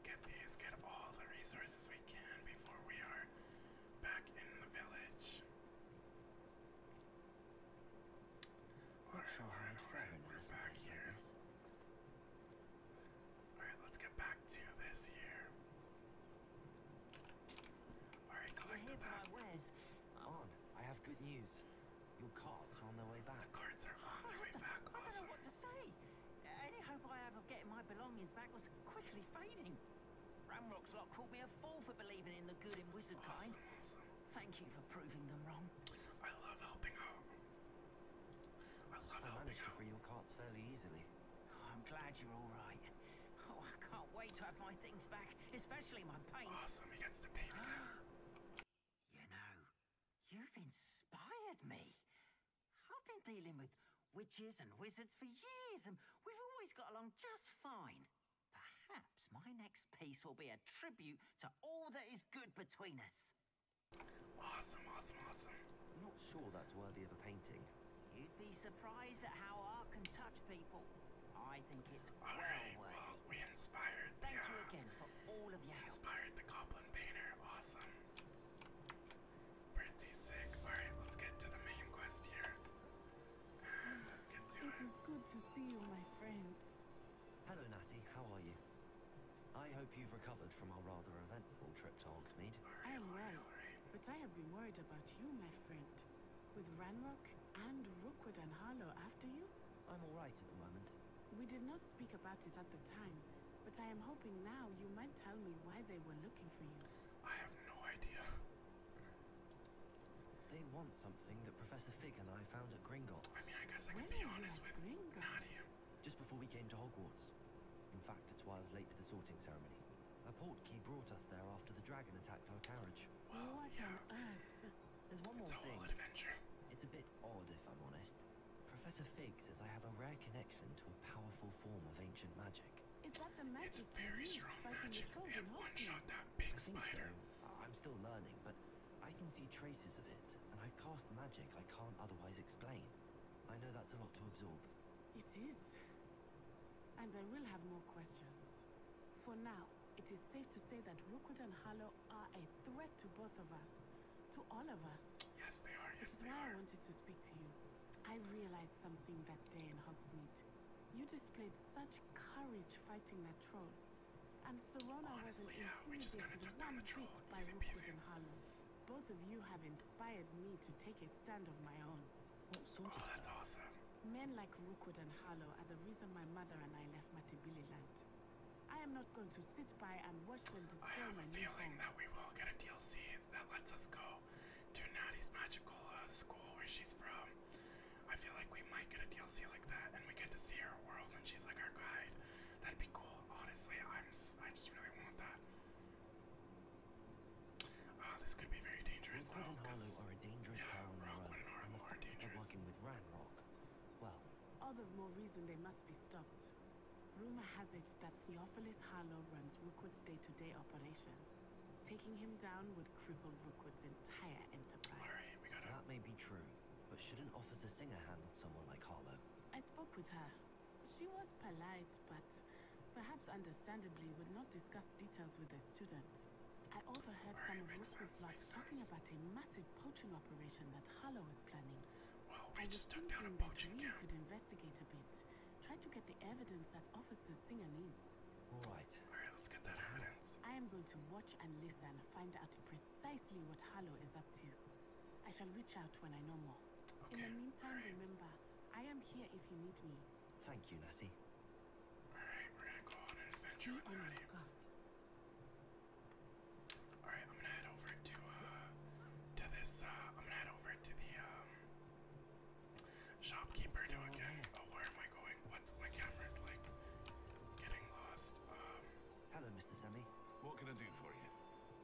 Get these, get all the resources we can before we are back in the village. Alright, alright, alright, we're back here. Alright, let's get back to this here. Alright, collect yeah, that. Where's on? I have good news. Your cards are on their way back. The cards are on their way back. I don't know what to say. Any hope I have of getting my belongings back was quickly fading. Ramrock's lot called me a fool for believing in the good in wizard kind. Awesome. Thank you for proving them wrong. I love helping out. I love I helping your carts fairly easily. I'm glad you're all right. Oh, I can't wait to have my things back, especially my paint. Awesome, he gets to paint you know, you've inspired me. I've been dealing with witches and wizards for years, and we've always got along just fine. Perhaps my next piece will be a tribute to all that is good between us. Awesome, awesome, awesome. I'm not sure that's worthy of a painting. You'd be surprised at how art can touch people. I think it's all well right. Worthy. Well, we inspired. Thank you uh, again for all of your Inspired the goblin painter. Awesome. Pretty sick. All right, let's get to the main quest here. And get to it. It is good to see you, my friend. Hello, Natty. How are you? I hope you've recovered from our rather eventful trip to Hogsmeade. I am well, but I have been worried about you, my friend. With Ranrock and Rookwood and Harlow after you? I'm all right at the moment. We did not speak about it at the time, but I am hoping now you might tell me why they were looking for you. I have no idea. they want something that Professor Fig and I found at Gringotts. I mean, I guess I can be honest with you just before we came to Hogwarts. In fact, it's why I was late to the sorting ceremony. A portkey brought us there after the dragon attacked our carriage. Well, what yeah. on earth? There's one it's more thing. It's a adventure. It's a bit odd, if I'm honest. Professor Fig says I have a rare connection to a powerful form of ancient magic. Is that the magic? It's very strong magic, and one-shot that big spider. I'm still learning, but I can see traces of it, and I cast magic I can't otherwise explain. I know that's a lot to absorb. It is. And I will have more questions. For now, it is safe to say that Rookwood and Harlow are a threat to both of us. To all of us. Yes, they are. Yes, it's why I wanted to speak to you. I realized something that day in Hogsmeade. You displayed such courage fighting that troll. And Serona Honestly, was yeah, we just kind of took down the troll. Easy peasy. And Harlow. Both of you have inspired me to take a stand of my own. oh, of that's awesome. Men like Rookwood and Harlow are the reason my mother and I left Matibili land. I am not going to sit by and watch them destroy my I have a feeling that we will get a DLC that lets us go to Natty's magical uh, school where she's from. I feel like we might get a DLC like that and we get to see her world and she's like our guide. That'd be cool. Honestly, I'm. I just really want that. Uh, this could be very dangerous though, because are a dangerous yeah, Rockwood and Harlow are Working with Ranrock. Well, all the more reason they must be stopped. Rumor has it that Theophilus Harlow runs Rookwood's day-to-day operations. Taking him down would cripple Rookwood's entire enterprise. That may be true, but shouldn't Officer Singer handle someone like Harlow? I spoke with her. She was polite, but perhaps understandably would not discuss details with the student. I overheard some of Rookwood's lads talking about a massive poaching operation that Harlow is planning. I just took down a poaching camp. could investigate a bit. Try to get the evidence that Officer Singer needs. All right. All right, let's get that evidence. I am going to watch and listen, find out precisely what Harlow is up to. I shall reach out when I know more. In the meantime, remember, I am here if you need me. Thank you, Natty. Alright, we're gonna go on an adventure oh with oh Natty. Alright, I'm gonna head over to uh to this uh I'm gonna head over to the um shopkeeper again. Oh where am I going? What's my camera's like getting lost? Um Hello, Mr. Sammy. What can I do for you?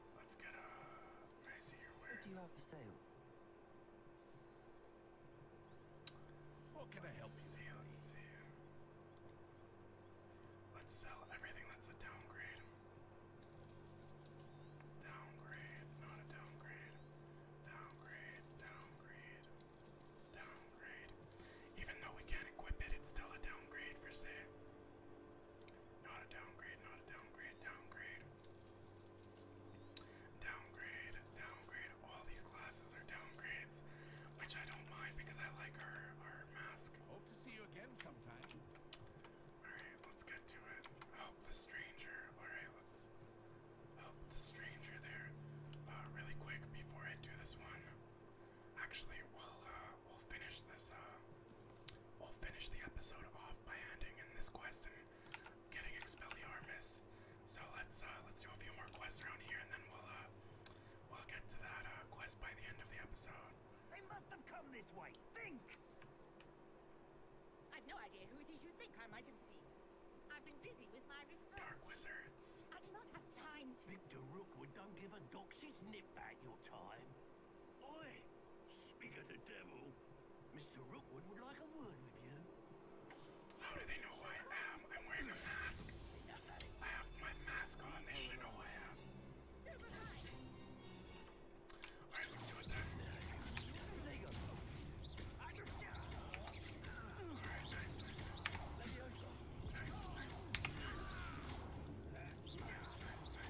Uh, what do you have for sale? What can I help you? see. Let's sell everything that's a downgrade. Downgrade, not a downgrade. Downgrade, downgrade, downgrade. Even though we can't equip it, it's still a downgrade for say. Not a downgrade, not a downgrade, downgrade. Downgrade, downgrade. All these classes are downgrades, which I don't mind because I like our our mask. Hope to see you again sometime. Alright, let's get to it. Help the stranger. Alright, let's help the stranger there. Uh, really quick before I do this one. Actually, we'll uh, we'll finish this uh We'll finish the episode off by ending in this quest and getting Expelliarmus. So let's uh, let's do a few more quests around here, and then we'll uh, we'll get to that uh, quest by the end of the episode. They must have come this way. Think. I've no idea who it is you think I might have seen. I've been busy with my research. Dark wizards. I do not have time to. Victor Rookwood would not give a dog shit's nip about your time. Oi! Speak of the devil. Mr. Rookwood would like a word with you. How do they know who I am? I'm wearing a mask. I have my mask on. They should know who I am. Alright, let's do it then. Alright, nice, nice, nice. Nice, nice, nice. Nice, nice, nice.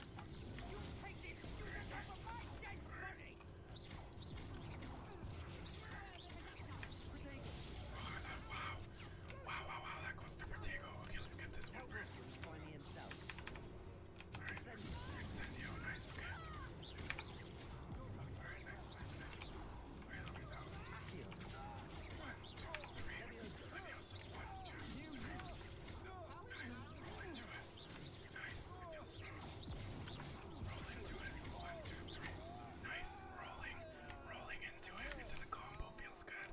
Wow, wow, wow, that goes to Vertigo. Okay, let's get this one first. Alright, Incendio, nice, okay. Alright, nice, nice, nice. Alright, that one's out. One, two, three. Levioso, one, two, three. Nice, roll into it. Nice. It feels smooth. Roll into it. One, two, three. Nice. Rolling. Rolling into it. Into the combo feels good.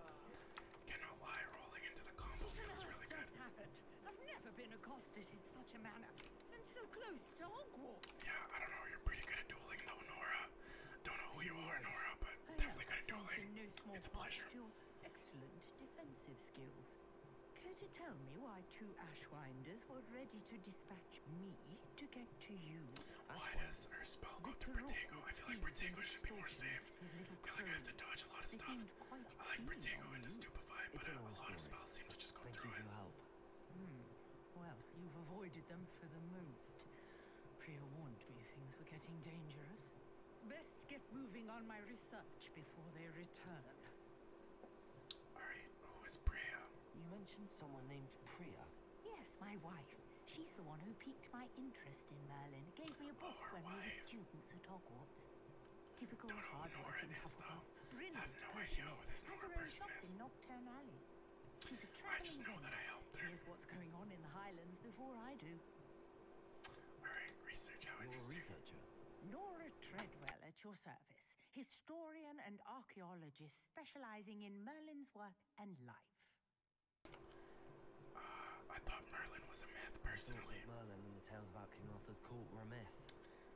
Cannot lie. Rolling into the combo feels really good. Happened. I've never been accosted in such a manner. And so close to Hogwarts. Yeah, I don't know. You're pretty good at dueling though, Nora. Don't know who you are, Nora, but definitely good at dueling. It's a pleasure. Your excellent defensive skills. Care to tell me why two Ashwinders were ready to dispatch me to get to you? Why does her spell go through Protego? I feel like Protego should be more safe. I feel like I have to dodge a lot of stuff. I like Protego and Stupefy, but a, a lot of spells seem to just go through it. Hmm. Well, you've avoided them for the moment. Priya warned me things were getting dangerous. Best get moving on my research before they return. Alright, who is Priya? You mentioned someone named Priya. Yes, my wife. She's the one who piqued my interest in Merlin. Gave me a oh, book when we were students at Hogwarts. Difficult Don't know who Lauren though. I have no idea what this Nora person is. Nocturnally. She's a I just know that I helped her. Here's what's going on in the Highlands before I do. Alright, researcher. Nora Treadwell at your service, historian and archaeologist specializing in Merlin's work and life. Uh, I thought Merlin was a myth, personally. Merlin and the tales about King Arthur's court were a myth.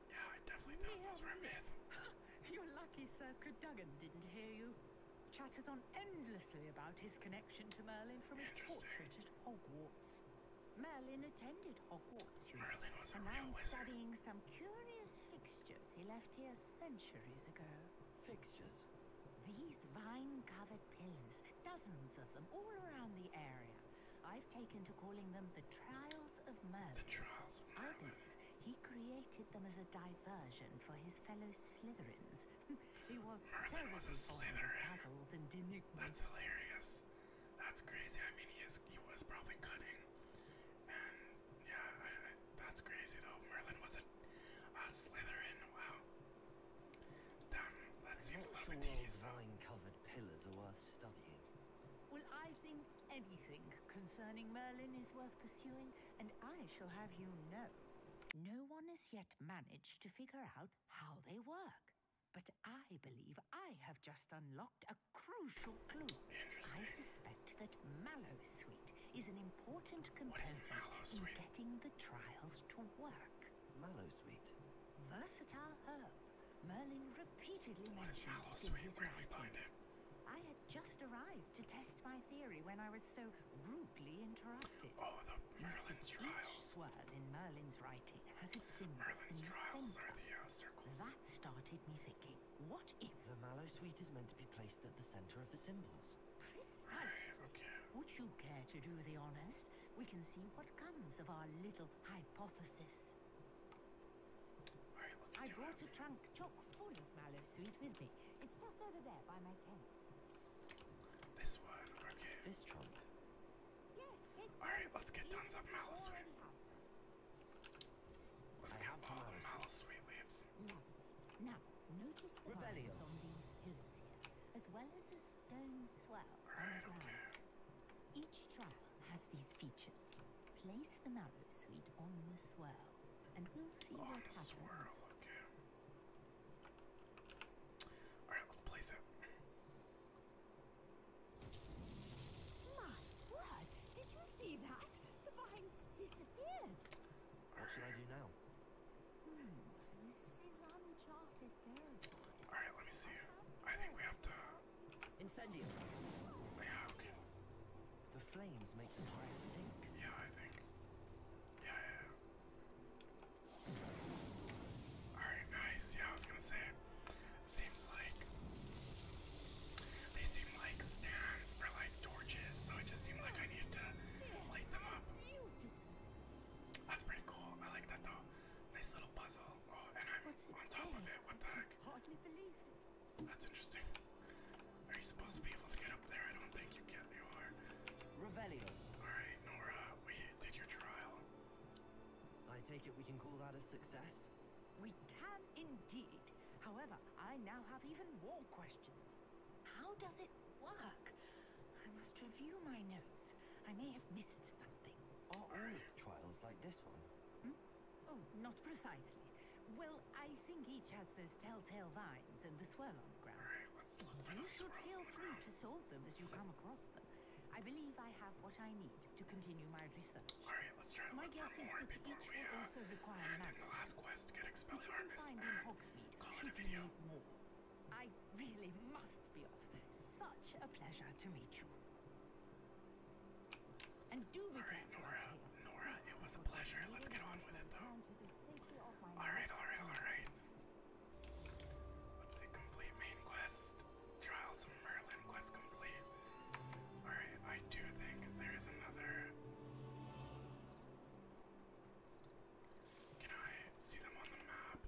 Yeah, I definitely thought yeah. those were a myth. You're lucky Sir Cadogan didn't hear you. Chatters on endlessly about his connection to Merlin from his portrait at Hogwarts. Merlin attended Hogwarts. Merlin was and I'm studying some curious fixtures he left here centuries ago. Fixtures? These vine-covered pillars, dozens of them, all around the area. I've taken to calling them the Trials of Merlin. The Trials of Merlin. I believe he created them as a diversion for his fellow Slytherins. he was Merlin was a Slytherin. Puzzles and enigmas. That's hilarious. That's crazy. I mean, he is he was probably cutting, and yeah, that's crazy though. Merlin was a, a Slytherin. Wow. Damn, that seems a little bit tedious though. covered pillars are worth studying. Well, I think anything concerning Merlin is worth pursuing, and I shall have you know. No one has yet managed to figure out how they work. But I believe I have just unlocked a crucial clue. Interesting. I suspect that Mallow Sweet is an important component in getting the trials to work. Mallow Sweet? Versatile herb. Merlin repeatedly mentions mentioned it in his Where writings. I had just arrived to test my theory when I was so rudely interrupted. Oh, the Merlin's trials. Each swirl in Merlin's writing uh, that started me thinking, what if... The mallow sweet is meant to be placed at the center of the symbols. Precisely. Would you care to do the honors? We can see what comes of our little hypothesis. I brought a trunk chock full of mallow sweet with me. It's just over there by my tent. This one, This trunk Alright, let's get tons of Malasuite. Let's get all the Malasuite leaves. Now, as well as a stone swell. Alright, okay. Each trial has these features. Place the Malasuite on the swirl, and we'll see what happens. swirl, Alright, let's place it. My word! Did you see that? The vines disappeared. What should I do now? Hmm, this is uncharted territory. All right, let me see. I think we have to. Incendio. Yeah. Okay. The flames make the fire sink. Yeah, I think. yeah. yeah. All right, nice. Yeah, I was gonna say seems like they seem like stands for like torches, so it just seemed like I needed to light them up. That's pretty cool. I like that though. Nice little puzzle. Oh, and I'm on top of it. What the heck? That's interesting. Are you supposed to be able to get up there? I don't think you can. You are. Revelio. All right, Nora. We did your trial. I take it we can call that a success? We can indeed. However, I now have even more questions. How does it work? I must review my notes. I may have missed something. Are all trials like this one? Hmm? Oh, not precisely. Well, I think each has those telltale vines and the swirl on the ground. Alright, let's look for You should feel free to solve them as you come across them. I believe I have what I need to continue my research. Alright, let's try to my look for more before we uh, end in the last quest, get expelled harness, and call it a video. I really must be off. Such a pleasure to meet you. And do All right, Nora, Nora, it was a pleasure. Let's get on with it, though. All right, all right, all right. Let's see, complete main quest. Trials of Merlin quest complete. Alright, I do think there is another. Can I see them on the map?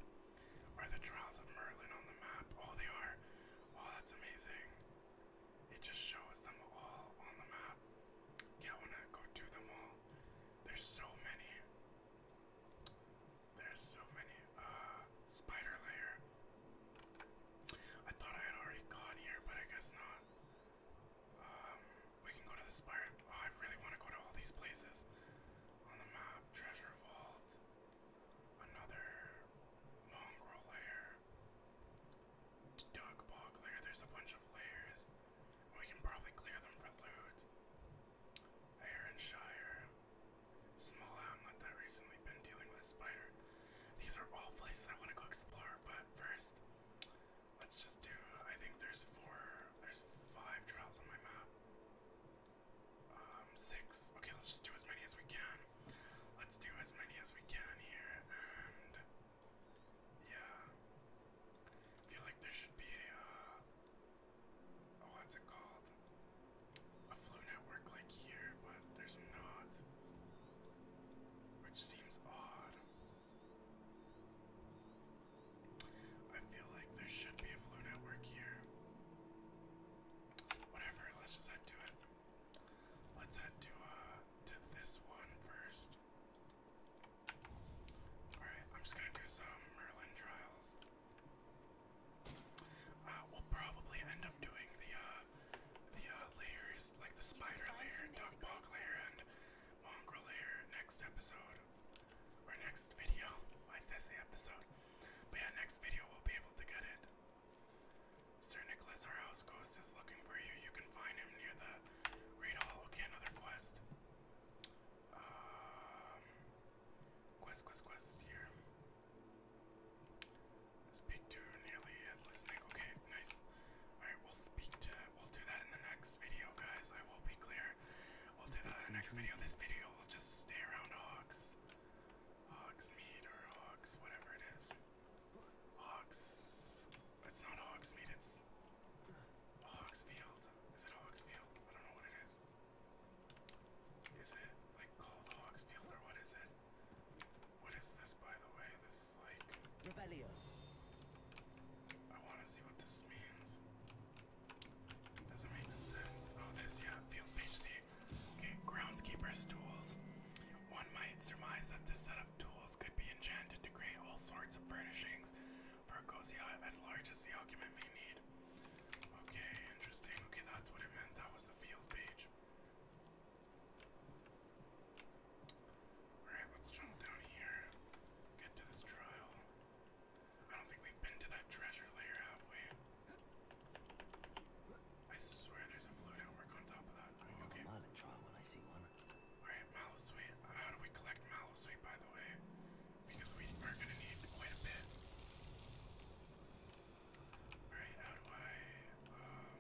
Are the Trials of Merlin on the map? Oh, they are. Oh, that's amazing. It just shows them all on the map. Yeah, want to go do them all. There's so many. There's so many. Uh, spider layer. I thought I had already gone here, but I guess not. Um, we can go to the spider. Oh, I really want to go to all these places on the map. Treasure vault. Another mongrel layer. Dug bog layer. There's a bunch of layers. We can probably clear them for loot. Aaron small outlet that recently been dealing with a spider. These are all places I want to go explore, but first, let's just do. I think there's four, there's five trials on my map. Um, six. Okay, let's just do as many as we can. Let's do as many as we can here, and yeah, feel like there should be uh, oh, what's it called? a flu network like here, but there's not, which seems odd. I feel like there should be a flu network here. Whatever, let's just head to it. Let's head to uh to this one first. Alright, I'm just gonna do some Merlin trials. Uh, we'll probably end up doing the uh, the uh, layers like the spider layer, dog layer, and mongrel layer next episode or next video. Why did I episode? But yeah, next video we'll be able to get it. Sir Nicholas, our house ghost, is looking for you. You can find him near the Great Hall. Okay, another quest. Um, quest, quest, quest here. Speak to nearly headless neck. Okay, nice. Alright, we'll speak to we'll do that in the next video, guys. I will be clear. We'll do that in the next video. This video will just stay around hogs. Hogs meat or hogs, whatever it is. Hogs it's not hogs meat, it's hogs field. Is it hogs field? I don't know what it is. Is it like called hogs field or what is it? What is this, by the way? This is like. Revelio. I want to see what this means. Doesn't make sense. Oh, this, yeah, field page See, Okay, groundskeeper's tools. One might surmise that this set of tools could be enchanted to create all sorts of furnishings for a cozy as large as the occupant may need. Okay, interesting. Okay, that's what it meant. That was the field page. Alright, let's jump down here. Get to this trial. I don't think we've been to that treasure layer, have we? I swear there's a flute outwork on top of that. I know okay. Mallet trial when I see one. Alright, mallow sweet. How do we collect mallow sweet, by the way? Because we are gonna need quite a bit. Alright, how do I um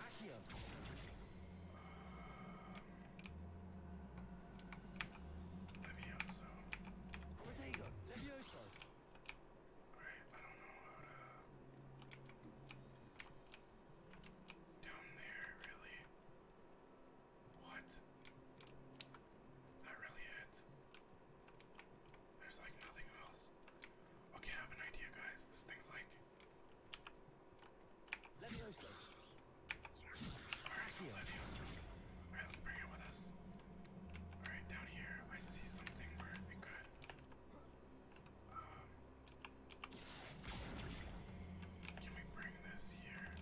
uh, Accio. Um uh, Levioso. Protego, Levioso. Alright, I don't know how to down there, really. What? Is that really it? There's like nothing else. Okay, I have an idea, guys. This thing's like. Let me know, Alright, cool, let me Alright, let's bring it with us. Alright, down here, I see something where it could. Um. Can we bring this here?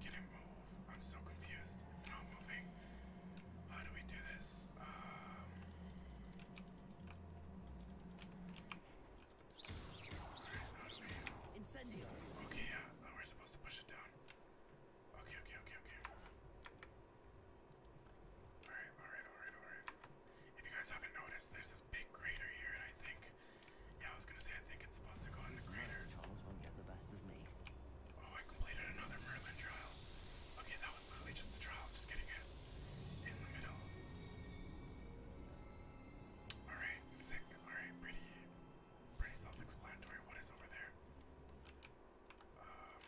Can it move? I'm so confused. It's not moving. How do we do this? Incendio. Um, okay, yeah. Oh, we're supposed to push it down. Okay, okay, okay, okay. Alright, alright, alright, alright. If you guys haven't noticed, there's this big crater here, and I think. Yeah, I was gonna say, I think it's supposed to go in the crater. Charles won't get the best of me. Oh, I completed another Merlin trial. Okay, that was literally just the trial, just getting it in the middle. Alright, sick. Alright, pretty pretty self-explanatory. What is over there? Um,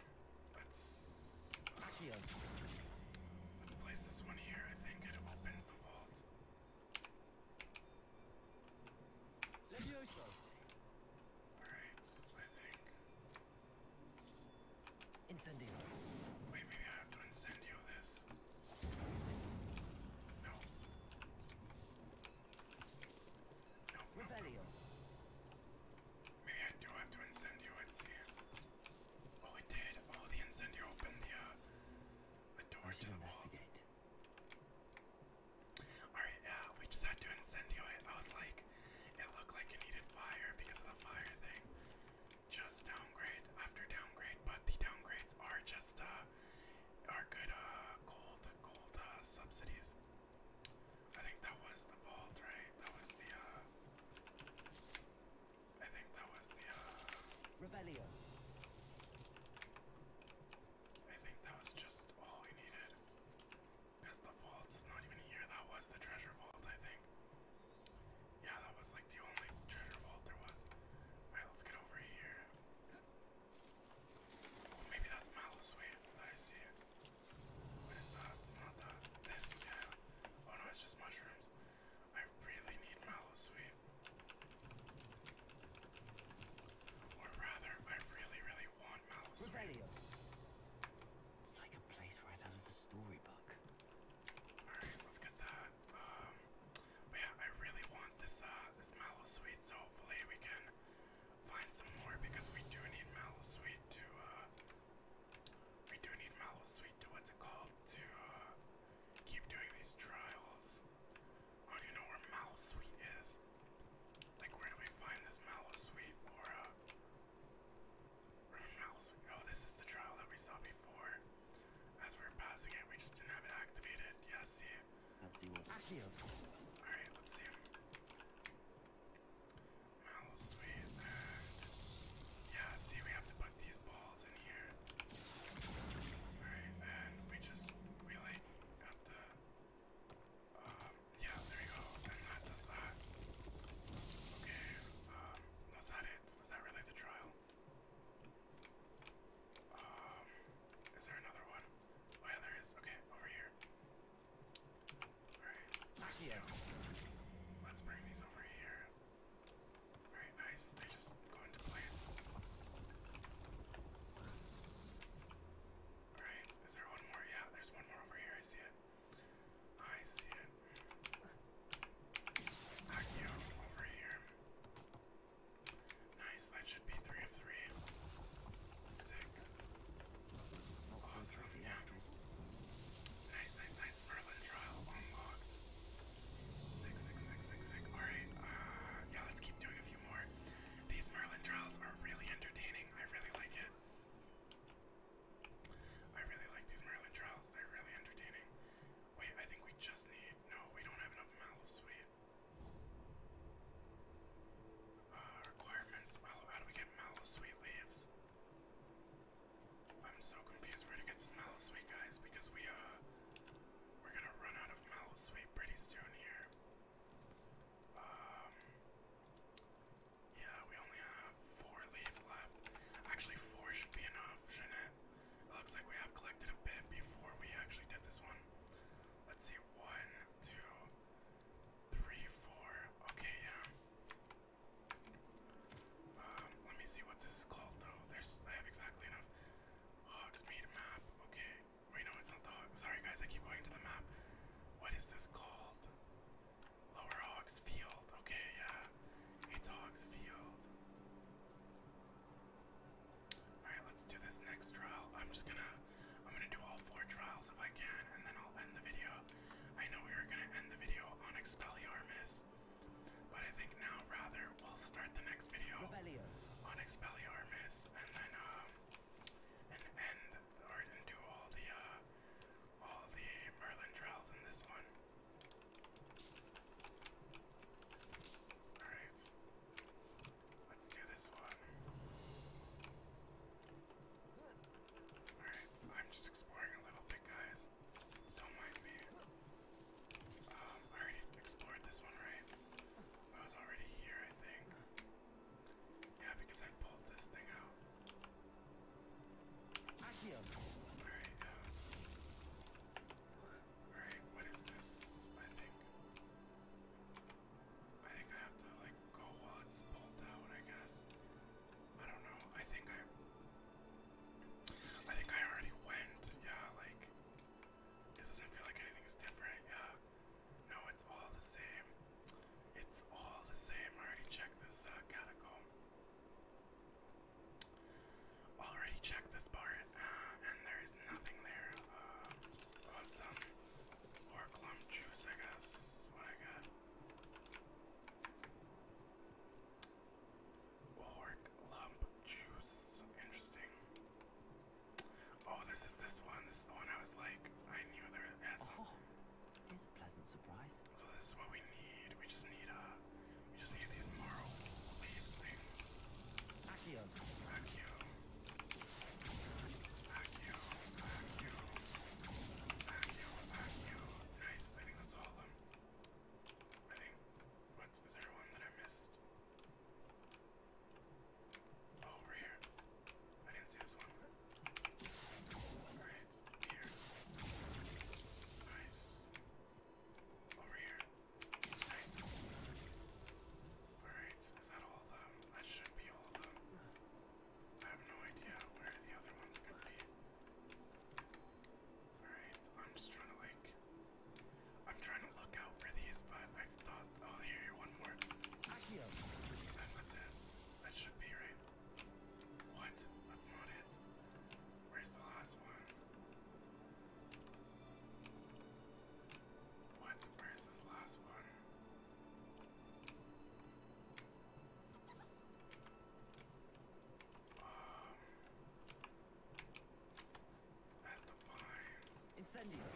let's let's place this one here. I think it opens the vault. Incendio. Wait, maybe I have to incendio this. No. No, no. Maybe I do have to incendio it, see. Oh, it did. Oh, the incendio opened the, uh, door to the vault. Alright, yeah, uh, we just had to incendio I was like, it looked like it needed fire because of the fire thing. Just downgrade after downgrade, but the downgrades are just, uh, are good, uh, gold, gold, uh, subsidies. I think that was the vault, right? That was the, uh, I think that was the, uh, Revelio. I think that was just all we needed. That's the vault. It's not even here. That was the treasure vault, I think. Yeah, that was like the only treasure vault there was. Alright, let's get over here. Oh, maybe that's Malasuite I see. It's not that. This, yeah. Oh no, it's just mushrooms. I really need Malasuite. Or rather, I really, really want on, Malus. It's like a place right out of a storybook. Alright, let's get that. Um, yeah, I really want this, uh, this Malosweet, so hopefully we can find some more because we do need Malosweet to, uh, we do need Malosweet to, what's it called, to, uh, keep doing these trials. I do know where Malosweet is. Like, where do we find this mallow sweet or uh, sweet? Oh, this is the trial that we saw before. As we are passing it, we just didn't have it activated. Yeah, see. Let's see what. All right, let's see. Mallow sweet. yeah, see, we have to put these balls in here. All right, and we just we have to. Um, yeah, there you go. And that does that. Okay, um, was that it? Was that really the trial? Um, is there another one? Oh yeah, there is. Okay, over here. Alright, back you go. Let's bring these over here. Alright, nice. They just go into place. Alright, is there one more? Yeah, there's one more over here. I see it. I see it. Akio, over here. Nice, that should be three of three. Sick. Awesome, yeah. Nice, nice, nice. Merlin trial unlocked. Sick, Alright, uh, yeah, let's keep doing a few more. These Merlin trials are really entertaining. I really like it. I really like these Merlin trials, they're really entertaining. Wait, I think we just need. No, we don't have enough mallow, sweet. Uh, requirements. Mallow, how do we get mallow leaves? I'm so confused where to get this mallow guys, because we, uh, we're gonna run out of mallow pretty soon here. Um, yeah, we only have four leaves left. Actually, four should be enough, Jeanette. looks like we have collected a bit before we actually did this one. Let's see, one, two, three, four. Okay, yeah. Um, let me see what this is called though. There's I have exactly enough. Hog's Hogsmeade map. Okay. Wait no, it's not the hog sorry guys, I keep going to the map. What is this called? Lower Hogs Field. Okay, yeah. It's Hogs Field. Alright, let's do this next trial. I'm just gonna I'm gonna do all four trials if I can, and then I'll end the video. I know we were gonna end the video on Expelliarmus, but I think now rather we'll start the next video on Expelliarmus and then um and end or and do all the uh all the Merlin trials in this one. Alright. Let's do this one. Alright, I'm just exploring a little bit, guys. Don't mind me. Um, I already explored this one, right? I was already here, I think. Yeah, because I pulled this thing out. Alright, uh, Alright, what is this? I think. I think I have to, like, go while it's pulled out, I guess. I don't know. I think I. I think I already went. Yeah, like. This doesn't feel like anything's different. Yeah. No, it's all the same. It's all the same. I already checked this uh, catacomb. Already checked this part, uh, and there is nothing there. Uh, awesome. Or clump juice, I guess. What I got. Orc lump juice. Interesting. Oh, this is this one. This is the one I was like, I knew there. was. some, oh. It is a pleasant surprise. So this is what we need. We just need a. Uh, we just need these marl leaves things. Accio. Accio. Accio. Accio. Accio. Accio. I think that's all of them. I think what's there one that I missed? Oh, over here. I didn't see this one. Alright, here. Nice. Over here. Nice. Alright, is that all of them? That should be all of them. I have no idea where the other ones could be. Alright, I'm just trying to like. I'm trying to look out for these, but I've thought. Oh, here, one more. And that's it. That should be right. What? That's not it. Where's the last one? What? Where's this last one? Um, the vines. Incendio.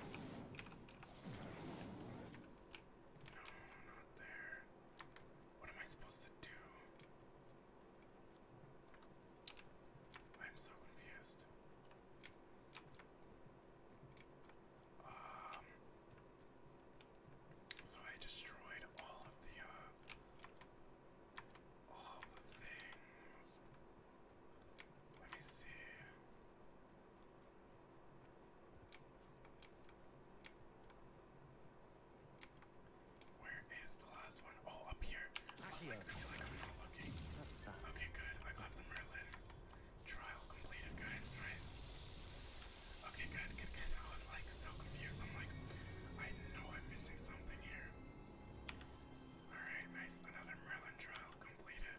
No, not there. What am I supposed to do? I'm so confused. Um, so I destroyed all of the, uh, all the things. Let me see. Where is the last one? Oh, up here. I was like, oh, I feel like I'm not looking. Okay, good. I got the Merlin. Trial completed, guys. Nice. Okay, good, good, good. I was like so confused. I'm like, I know I'm missing something here. Alright, nice. Another Merlin trial completed.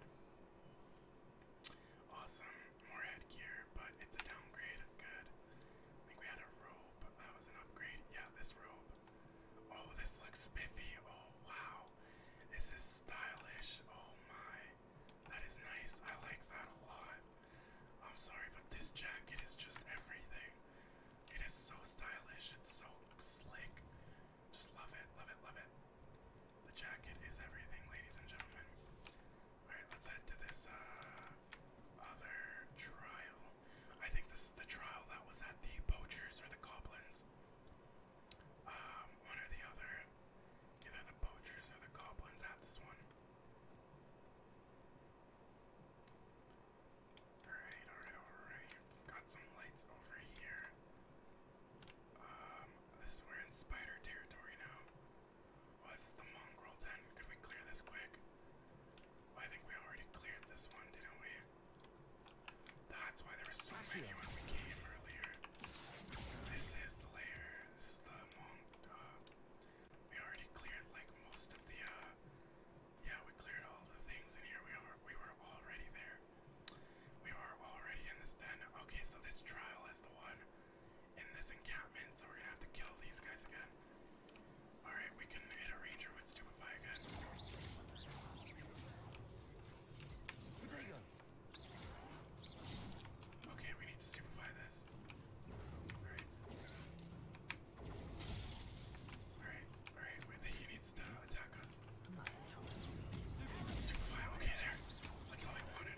Awesome. More headgear, but it's a downgrade. Good. I think we had a robe. That was an upgrade. Yeah, this robe. Oh, this looks spiffy. Oh, wow. This is stylish. Oh, my. That is nice. I like that a lot. I'm sorry, but this jacket is just everything. It is so stylish. It's so slick. Just love it, love it, love it. The jacket is everything, ladies and gentlemen. Alright, let's head to this uh, other trial. I think this is the trial that was at the poachers or the goblins. Um, one or the other. Either the poachers or the goblins at this one. Alright, alright, alright. Got some lights over here. Um, this we're in spider territory now was the mongrel den. Could we clear this quick? I think we already cleared this one, didn't we? That's why there were so many when we came earlier. This is the layer. This is the mong. Uh, we already cleared like most of the. Uh, yeah, we cleared all the things in here. We are. We were already there. We are already in this den. Okay, so this trial is the one in this encampment, so we're gonna have to kill these guys again. Alright, we can hit a ranger with Stupefy again. Right. Okay, we need to Stupefy this. Alright. Alright, alright, he needs to attack us. Stupefy, okay, there. That's all I wanted.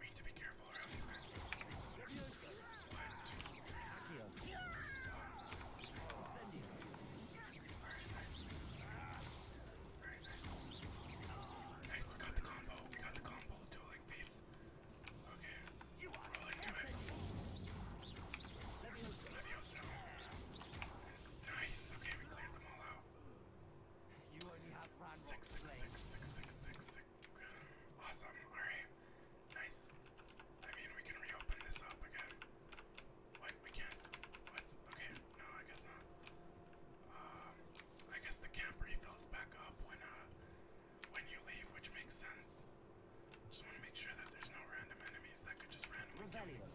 We need to be careful around these guys. One, two, three. One, two. Alright, nice. Very nice. Nice, we got the combo. We got the combo. Dueling fates. Okay. Roll into it. Leviosa. Nice. Okay, we cleared them all out. Six, six, six, six, six, six, six. Awesome. Alright. Nice. I mean, we can reopen this up again. What? We can't? What? Okay. No, I guess not. Um, I guess the camp refills back up when, uh, when you leave, which makes sense. Just want to make sure that there's no random enemies that could just randomly Revelio.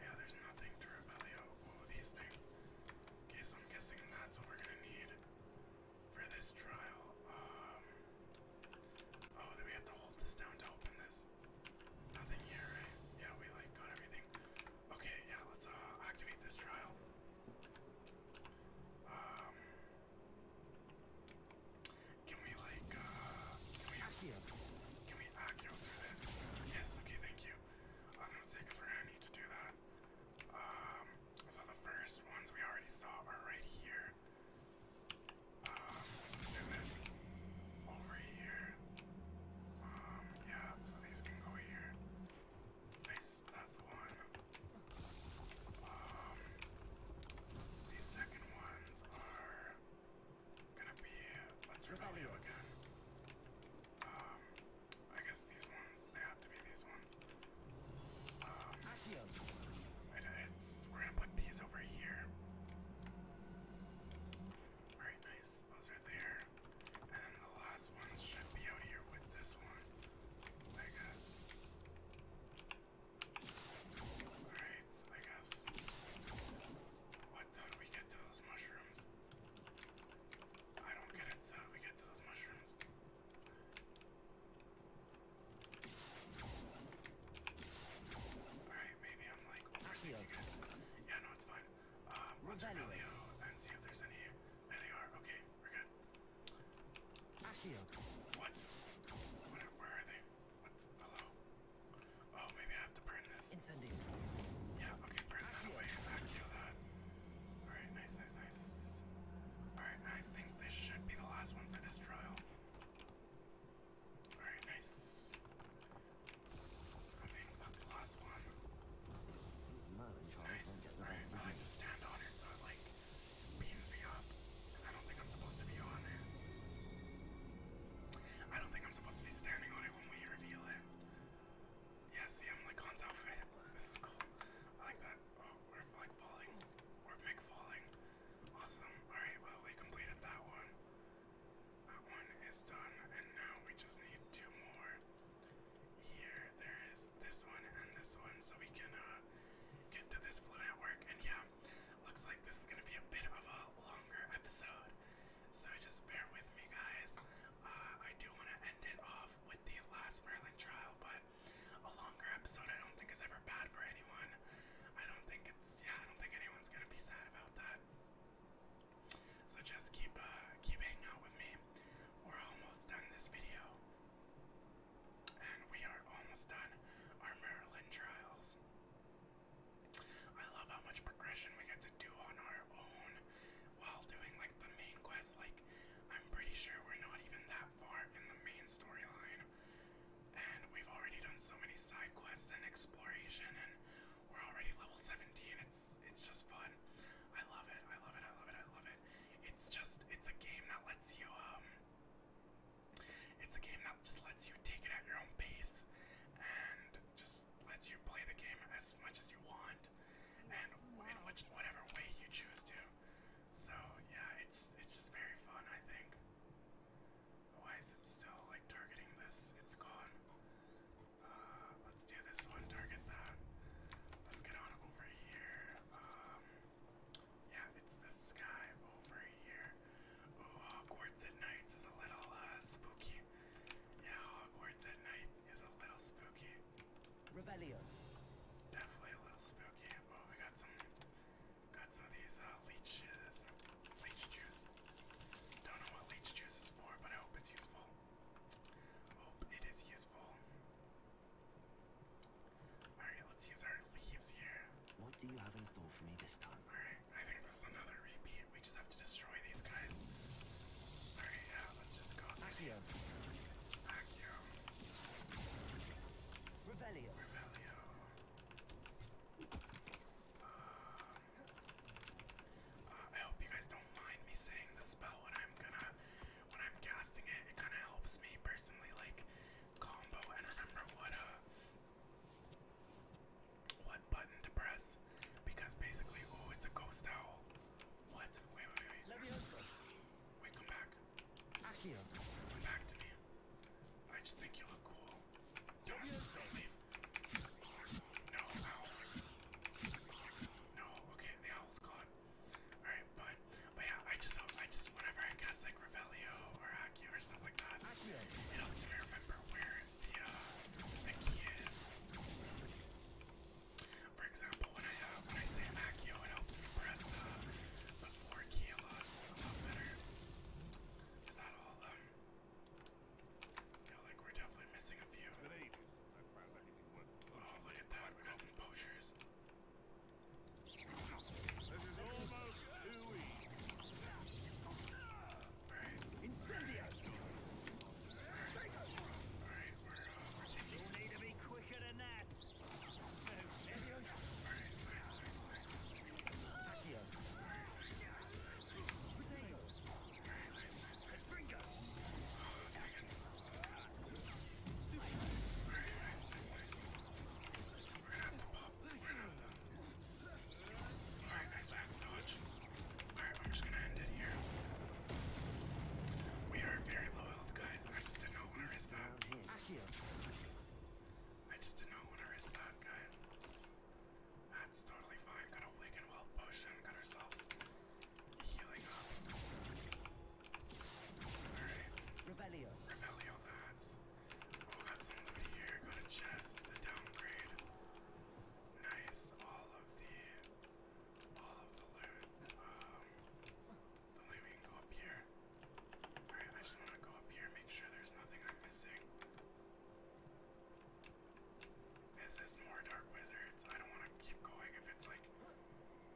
Yeah, there's nothing to Revelio. Oh, these things. Okay, so I'm guessing that's what we're gonna need for this trial. Um, oh, then we have to hold this down to open this. Nothing here, Yeah, we like got everything. Okay, yeah, let's uh, activate this trial. Um, can we like uh, can we can we accurate through this? Yes. Okay, thank you. I was gonna say because we're need to do that. Um, so the first ones we already saw are right here. Um, let's do this over here. Um, yeah, so these can go here. Nice, that's one. Um, these second ones are gonna be. Let's rebel again. I guess these ones, they have to be these ones. Um, we're gonna put these over here. Alright, nice. Those are there. And the last ones should be out here with this one, I guess. Alright, I guess. What? do we get to those mushrooms? I don't get it. So how do we get to those mushrooms? Alright, maybe I'm like overthinking it. Yeah, no, it's fine. Um, let's Revelio and see if there's any. There they are. Okay, we're good. What? Where, where are they? What's hello? Oh, maybe I have to burn this. Incendio. Yeah, okay, burn that away. Accio that. Alright, nice, nice, nice. Alright, I think this should be the last one for this trial. Alright, nice. I think that's the last one. Nice. Alright, I like to stand on it so it like beams me up. Because I don't think I'm supposed to be on it. I don't think I'm supposed to be standing on it when we reveal it. Yeah, see, I'm like on top of it. This is cool. I like that we're like falling. We're big falling. Awesome. Alright, well, we completed that one. That one is done, and now we just need two more. Here, there is this one and this one, so we can uh, get to this flu network. And yeah, looks like this is gonna be a bit of a longer episode, so just bear with me, guys. Uh, I do want to end it off with the last Merlin trial, but a longer episode I don't think is ever bad for anyone. I don't think it's yeah, I don't think anyone's gonna be sad about that. So just keep uh keep hanging out with me. We're almost done this video. And we are almost done our Maryland trials. I love how much progression we get to do on our own while doing like the main quest like I'm pretty sure we're not even that far in the main storyline. And we've already done so many side quests and exploration, and we're already level 17. It's it's just fun. I love it. I love it. I love it. I love it. It's just it's a game that lets you um it's a game that just lets you take it at your own pace and just lets you play the game as much as you want and in which whatever way you choose to. So yeah, it's it's just very fun, I think. Why is still like targeting this? It's gone. Uh, let's do this one. Target that. Let's get on over here. Um, yeah, it's this guy over here. Oh, Hogwarts at night is a little uh, spooky. Yeah, Hogwarts at night is a little spooky. Revelio. Definitely a little spooky. Oh, we got some, got some of these uh, leeches, leech juice. Don't know what leech juice is for, but I hope it's useful. Hope it is useful. All right, let's use our leaves here. What do you have in store for me this time? All right, I think this is another repeat. We just have to destroy these guys. All right, yeah, let's just go. Accio. Accio. Revelio. Revelio. Uh, I hope you guys don't mind me saying the spell when I'm gonna when I'm casting it. It kind of helps me personally, like combo and remember what uh what button to press because basically, oh, it's a ghost owl. What? Wait, wait, wait, wait. Wait, come back. Don't back to me. I just think you look cool. Don't, don't leave. No, ow. No, okay, the owl's gone. Alright, but, but yeah, I just hope, I just, whenever I guess like Revelio or Accio or stuff like that, it helps me remember where the, the key is. For example, when I uh, when I say Accio, it helps me press uh, the four key a lot, a lot better. Is that all? Uh, like we're definitely missing a few. Oh, look at that! We got some poachers. This uh, You need to be quicker than that! We are very low health, guys. I just didn't know where is that. I heal. just did not want to risk that, guys. That's totally fine. Got a Wigan Wealth potion. Got ourselves healing some here. Got a chest. A downgrade. Nice. All of the. All of the loot. Um, don't let me go up here. Alright, I just want to go up here, make sure there's nothing I'm missing. Is this more Dark Wizards? I don't want to keep going if it's like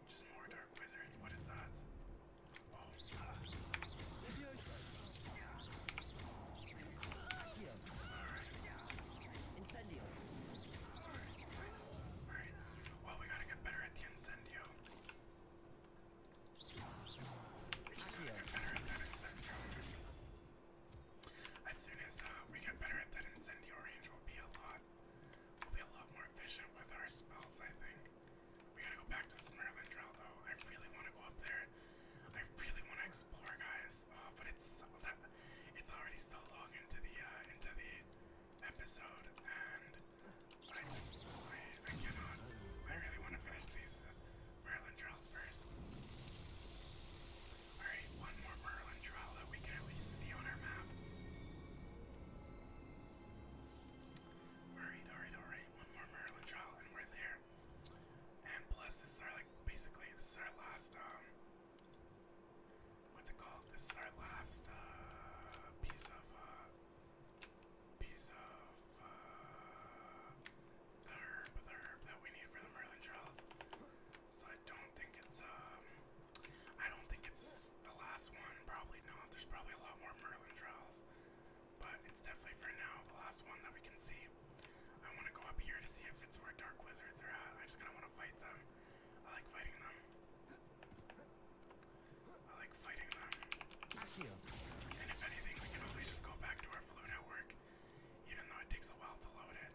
just more Dark Wizards. What is that? Oh. Incendio. Alright. Well, we gotta get better at the incendio. We're gonna As soon as uh, we get better at that incendio range, we'll be a lot, we'll be a lot more efficient with our spells. I think. We gotta go back to this Merlin Trail though. I really want to go up there. I really want to explore, guys. Uh, but it's it's already so long into the uh, into the episode, and I just, I, I cannot. I really want to finish these uh, Merlin trials first. Alright, one more Merlin trial that we can at least see on our map. Alright, alright, alright. One more Merlin trial and we're there. And plus, this is our, like, basically, this is our last, what's it called? This is our last, piece of, piece of uh, the herb, the herb that we need for the Merlin Trials. So I don't think it's um, I don't think it's the last one. Probably not. There's probably a lot more Merlin Trials, but it's definitely for now the last one that we can see. I want to go up here to see if it's where Dark Wizards are at. I just kind of want to fight them. I like fighting them. I like fighting them. And if anything, we can always just go back to our flu network, even though it takes a while to load it.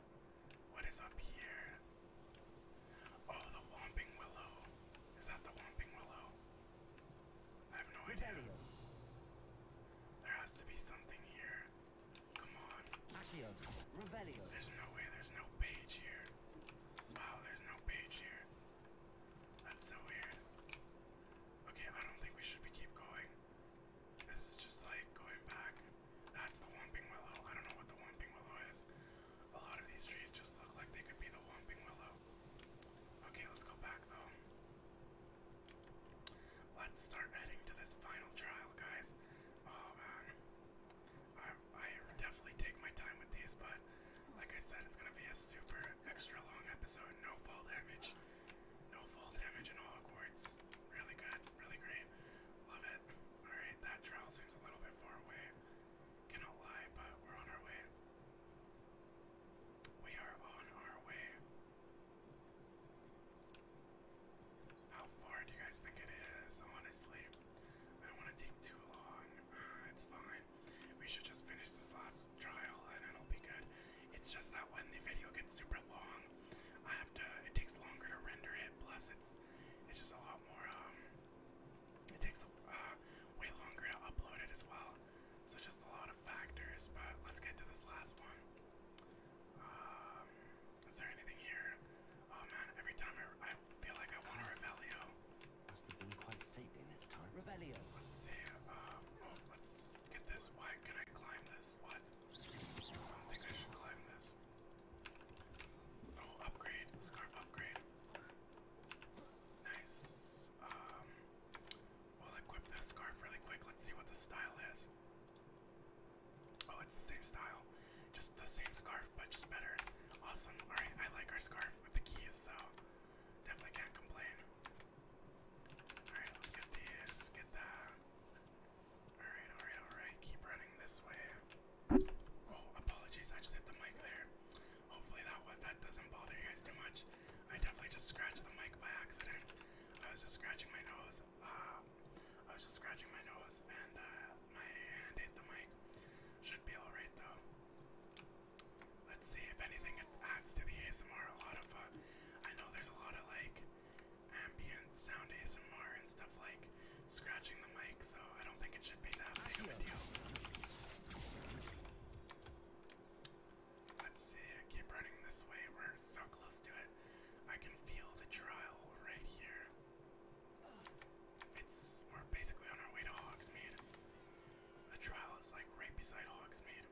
What is up here? Oh, the Whomping Willow. Is that the Whomping Willow? I have no idea. There has to be something here. Come on. There's no way. There's no page here. Wow, there's no page here. That's so weird. Okay, I don't think we should keep going. This is just like going back. That's the Whomping Willow. I don't know what the Whomping Willow is. A lot of these trees just look like they could be the Whomping Willow. Okay, let's go back though. Let's start heading to this final trial, guys. Oh man. I definitely take my time with these, but like I said, it's gonna be a super extra long episode. No fall damage, no fall damage in all Hogwarts. Really good, really great. Love it. All right, that trial seems a little bit far away. Cannot lie, but we're on our way. We are on our way. How far do you guys think it is? Honestly, I don't want to take too long. Uh, it's fine. We should just finish this last trial and it'll be good. It's just that when the video gets super long, I have to. It takes longer to render it. Plus, it's it's just a lot more. Um, it takes uh, way longer to upload it as well. So just a lot of factors. But let's get to this last one. Um, is there anything here? Oh man, every time I, I feel like I want a Revelio. Must Let's see. Um, oh, let's get this. Why can I climb this? What? I don't think I should climb this. Oh, upgrade. Scarf upgrade. Nice. Um, we'll equip this scarf really quick. Let's see what the style is. Oh, it's the same style. Just the same scarf, but just better. Awesome. Alright, I like our scarf with the keys, so Definitely can't complain. Alright, let's get these, get that. Alright, alright, alright. Keep running this way. Oh, apologies, I just hit the mic there. Hopefully that that doesn't bother you guys too much. I definitely just scratched the mic by accident. I was just scratching my nose. Uh, I was just scratching my nose and uh, my hand hit the mic. Should be alright though. Let's see if anything adds to the ASMR. A lot of, uh, I know there's a lot of like ambient sound ASMR and stuff like scratching the mic, so I don't think it should be that big of a deal. Let's see, keep running this way. We're so close to it. I can feel the trial right here. It's we're basically on our way to Hogsmeade. The trial is like right beside Hogsmeade.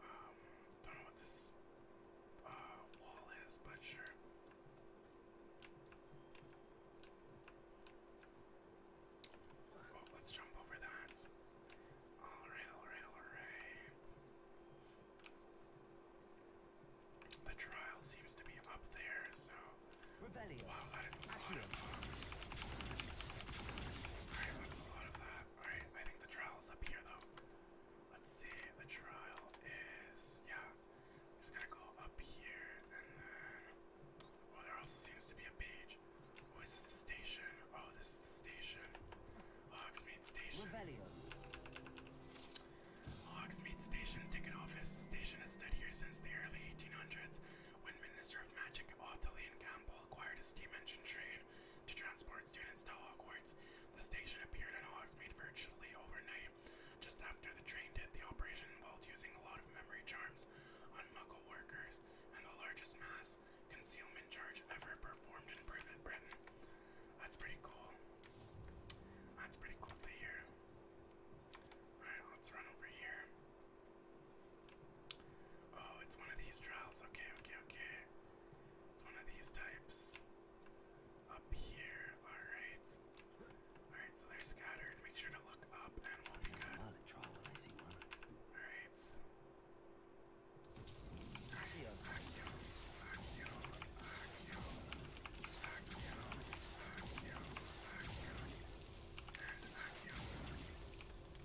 Um, don't know what this uh, wall is, but sure. Oh, let's jump over that. All right, all right, all right. The trial seems to be up there, so Revelio. Wow, that is a Accurate. lot of that. Alright, that's a lot of that. Alright, I think the trial is up here though. Let's see, the trial is yeah. I'm just gonna go up here and then Oh there also seems to be a page. Oh, is this the station? Oh, this is the station. Hogsmeade Station. Revelio. Hogsmeade Station Ticket Office. The station has stood here since the early 1800s. When Minister of Magic Othelian Campbell acquired a steam engine train to transport students to Hogwarts, the station appeared in made virtually overnight. Just after the train hit, the operation involved using a lot of memory charms on muggle workers and the largest mass concealment charge ever performed in private Britain. That's pretty cool. That's pretty cool to hear. Alright, let's run over here. Oh, it's one of these trials. Okay, okay, okay. It's one of these types. Up here. Alright. Alright, so they're scattered. Make sure to look up and we'll be good. Alright. Akio, Akio, Akio, Akio, Akio, Akio,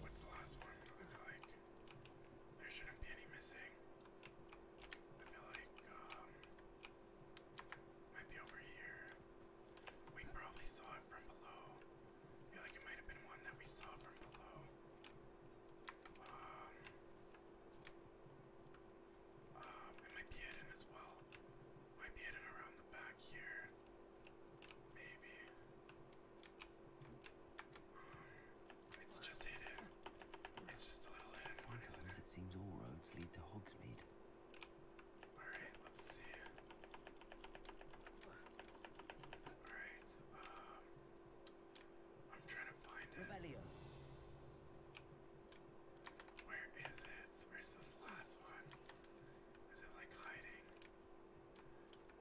What's the last one? I feel like there shouldn't be any missing. I feel like um might be over here. We probably saw it from below. I feel like it might have been one that we saw from below. Um, um, it might be hidden as well. Might be hidden around the back here. Maybe. it's just hidden. It's just a little hidden one, it? seems all roads lead to Hogsmeade. Alright, let's see. Alright, um, I'm trying to find it. Where is it? Where's this last one? Is it like hiding?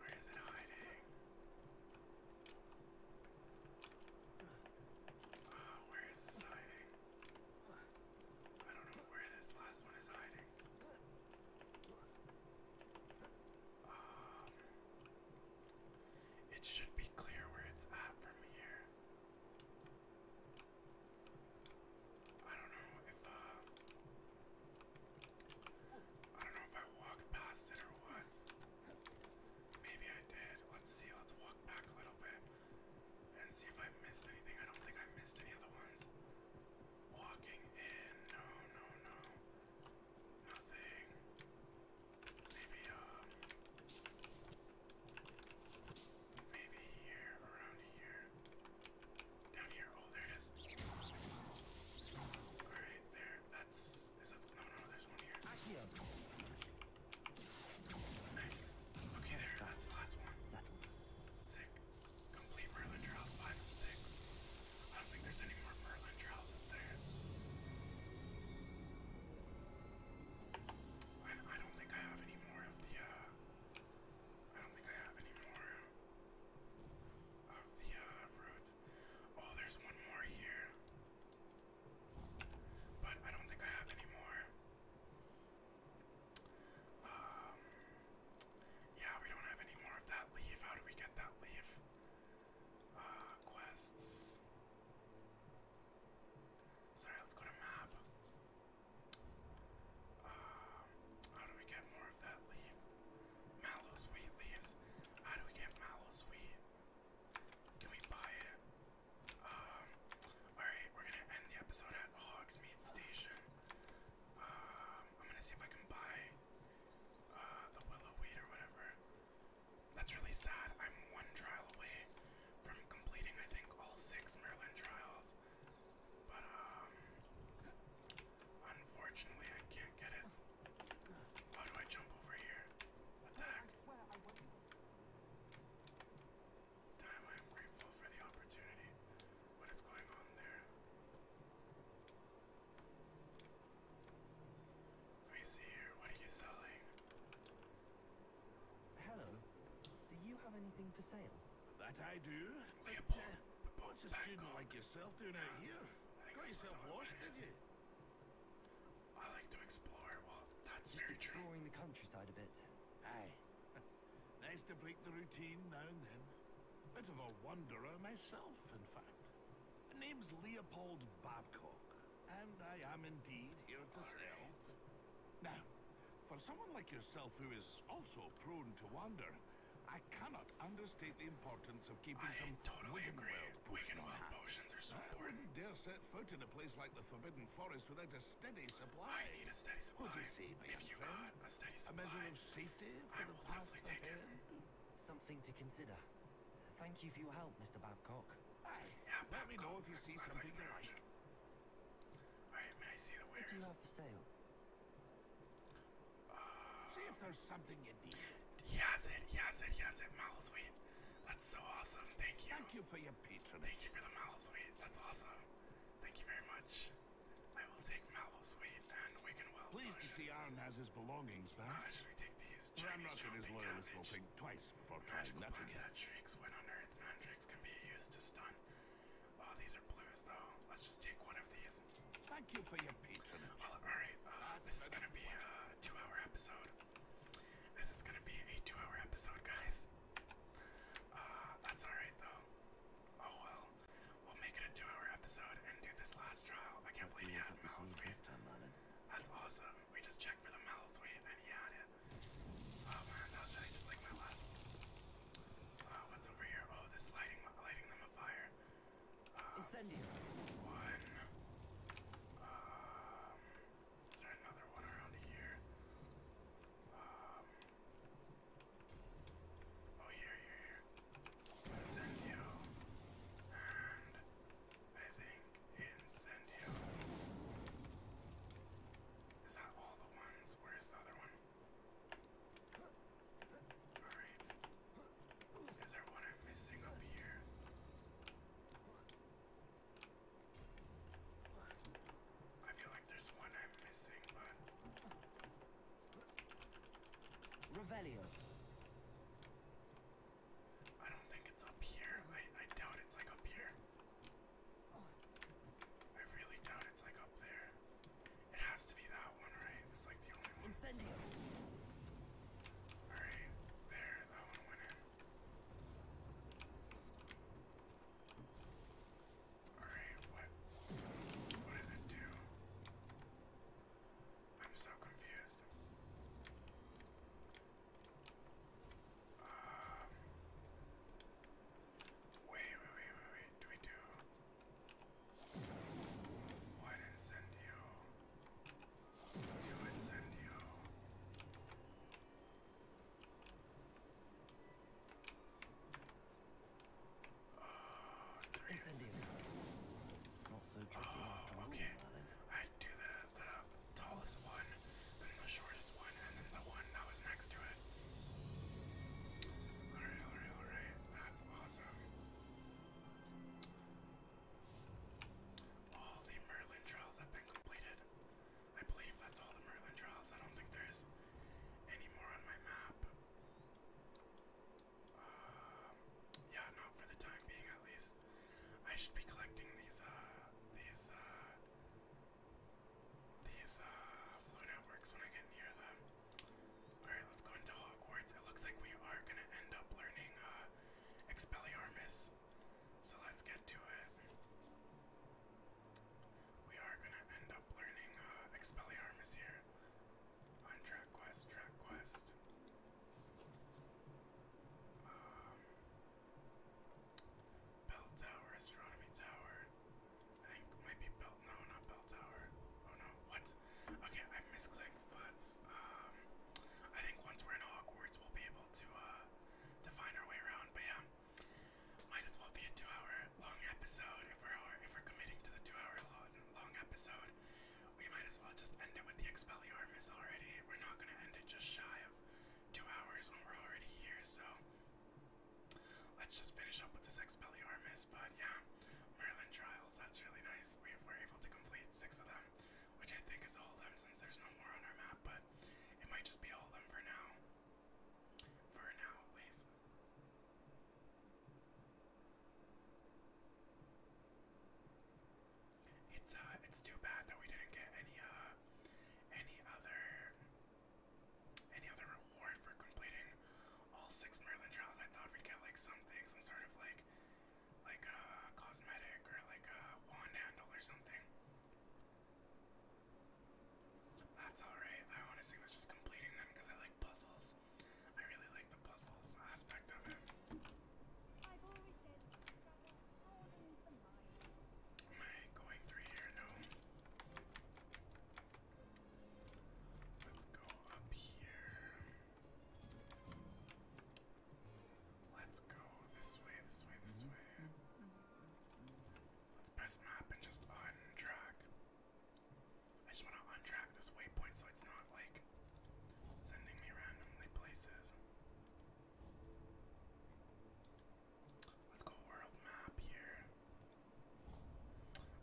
Where is it hiding? Oh, where is this hiding? I don't know where this last one is hiding. Um, it should be clear where it's at from here. I don't know if uh I don't know if I walked past it or what. Maybe I did. Let's see. Let's walk back a little bit and see if I missed anything. I don't think I missed any other ones. Walking in. No, no, no. Nothing. Maybe um maybe here around here. Down here. Oh, there it is. Alright, there. That's. Is that. No, no, there's one here. Nice. Okay, there. That's the last one. Sick. Complete Merlin Trials 5 of 6. I don't think there's any more Merlin Trials, is there? I, I don't think I have any more of the. Uh, I don't think I have any more of the uh, Oh, there's one more here. But I don't think I have any Um, yeah, we don't have any more of that leaf. How do we get that leaf? Uh, quests. Sorry, let's go to map how do we get more of that leaf? Mallows leaves. How do we get mallows Can we buy it? Um, alright, we're gonna end the episode at Hogsmead Station. Um, I'm gonna see if I can buy uh, the willow weed or whatever. That's really sad. I'm one trial away from completing, I think, all six Merlin trials. But, um, unfortunately, I can't get it. How do I jump over here? What the heck? Time, I am grateful for the opportunity. What is going on there? Let me What are you selling? Hello. Do you have anything for sale? That I do. Leopold, uh, what's a student like yourself doing out here? Got yourself lost, did you? I like to explore. Well, that's Just very true. exploring the countryside a bit. Hey. nice to break the routine now and then. Bit of a wanderer myself, in fact. My name's Leopold Babcock, and I am indeed here to sell. Now, for someone like yourself who is also prone to wander, I cannot understate the importance of keeping I totally agree. Wiganweld potions are so important. I wouldn't dare set foot in a place like the Forbidden Forest without a steady supply. I need a steady supply. What do you see, my if you friend? a steady measure of safety for the will ahead? Something to consider. Thank you for your help, Mr. Babcock. Aye. Let me know if you see something you like. Alright, may I see the wares? What do you have for sale? See if there's something you need. He has it, he has it, has it. Mallow sweet. That's so awesome. Thank you. Thank you for your patronage. Thank you for the mallow sweet. That's awesome. Thank you very much. I will take mallow sweet and Wigan well. Pleased to see Aaron has his belongings back. Uh, ah, should we take these Chinese well, his loyalists will think twice before trying that again. When on earth non-tricks can be used to stun Oh, these are blues though. Let's just take one of these. Thank you for your patronage. all right. Uh, this is gonna be a two-hour episode. This is gonna be a two-hour episode, guys. Uh, that's all right though. Oh well, we'll make it a two-hour episode and do this last trial. I can't believe you had mouse weight. That's awesome. We just checked for the mouse weight and he it. Oh man, that was really just like my last uh, what's over here? Oh, this lighting, lighting them afire. Uh, um, Incendio. One. Um, is there another one around here? Um. Oh, here, here, here. Incendio. And I think Incendio. Is that all the ones? Where's the other one? Alright. Is there what I'm missing up here? I feel like there's one I'm missing, but. Revelio. I don't think it's up here. I, I doubt it's like up here. I really doubt it's like up there. It has to be that one, right? It's like the only one. All right, there, that one went All right, what? What does it do? I'm so confused. Um. Wait, wait, wait, wait, wait. Do we do? One incendio. Two incendio. Uh, three incendio. Not so tricky. Oh, okay. I do the the tallest one, then the shortest one, and then the one that was next to it. Alright, alright, alright. That awesome. All the Merlin trials have been completed. I believe that's all the Merlin trials. I don't think there's any more on my map. Um, yeah, not for the time being, at least. I should be collecting these, these, uh, these, uh, uh networks when I get near them. Alright, let's go into Hogwarts. It looks like we are going to end up learning uh, Expelliarmus. So let's get to it. We are going to end up learning uh, Expelliarmus here on Track Quest, Track Quest. Um, Bell Tower, Astronomy Tower. I think might be belt. No, not bell tower. Oh no, what? Okay, I misclicked, but um, I think once we're in Hogwarts, we'll be able to uh, to find our way around. But yeah, might as well be a two-hour-long episode if we're if we're committing to the two-hour-long episode. We might as well just end it with the Expelliarmus already. We're not gonna end it just shy of two hours when we're already here, so let's just finish up with this Expelliarmus. But yeah, Merlin trials. That's really nice. We were able to complete six of them, which I think is all of them since there's no more on our map, but it might just be all of them for now. For now, at least. It's uh, it's too bad that we didn't get any uh, any other, any other reward for completing all six Merlin trials, I thought we'd get like something, some sort of like, like a uh, cosmetic or like a wand handle or something. That's alright. I honestly was just completing them because I like puzzles. I really like the puzzles aspect of it. Am I going through here? No. Let's go up here. Let's go this way, this way, this way. Let's press map and just untrack. I just want to untrack this waypoint so it's not like sending me randomly places. Let's go world map here.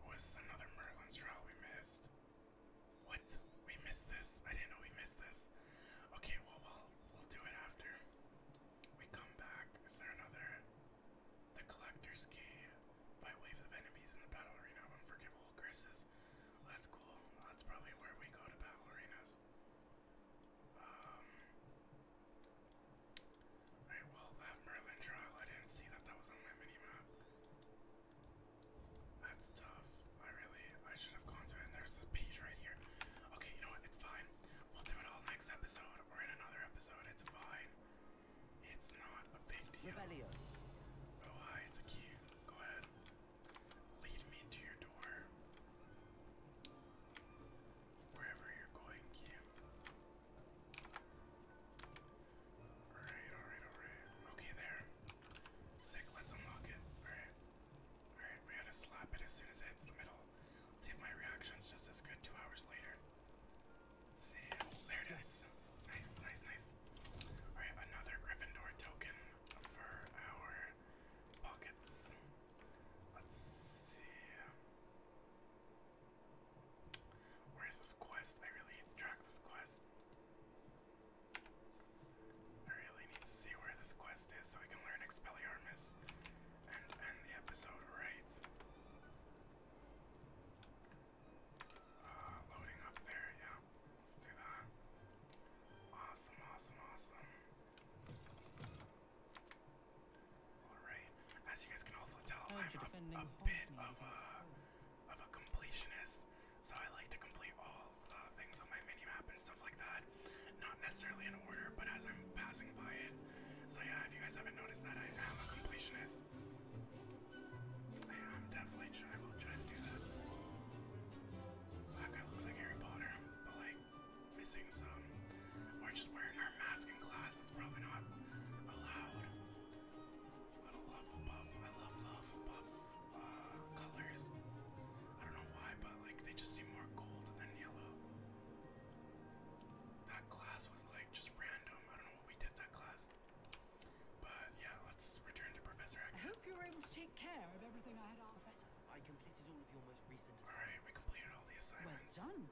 Oh, is this another Merlin's trial we missed? What? We missed this. I didn't know we missed this. Okay, well, we'll, we'll do it after. We come back. Is there another? The Collector's Key by wave of enemies in the battle arena of unforgivable curses. Well, that's cool. That's probably where we go to battle arenas. Um, Alright, well, that Merlin trial, I didn't see that that was on my mini map. That's tough. I really, I should have gone to it. And there's this page right here. Okay, you know what? It's fine. We'll do it all next episode or in another episode. It's fine. It's not a big deal. Oh hi, it's a key. Go ahead. Lead me to your door. Wherever you're going, key. Alright, alright, alright. Okay, there. Sick, let's unlock it. Alright. Alright, we gotta slap it as soon as it hits the middle. Let's see if my reaction's just as good two hours later. Let's see. Oh, there it is. Nice, nice, nice. Alright, another Gryffindor token for our pockets. Let's see. Where is this quest? I really need to track this quest. I really need to see where this quest is so we can learn Expelliarmus and end the episode right. Ah, loading up there, yeah. Let's do that. Awesome, awesome, awesome. Alright. As you guys can also tell, I'm a, a bit of a of a completionist, so I like to complete all the things on my mini map and stuff like that. Not necessarily in order, but as I'm passing by it. So yeah, if you guys haven't noticed that, I am a completionist. I am definitely I will try to do that. That guy looks like Harry Potter, but like missing some. We're just wearing our mask in class. That's probably not allowed. I love the Hufflepuff colors. I don't know why, but like they just seem more gold than yellow. That class was like just random. I don't know what we did that class. But yeah, let's return to Professor hope you were able to take care of everything I had asked. Professor, I completed all of your most recent assignments. Alright, we completed all the assignments. Well done.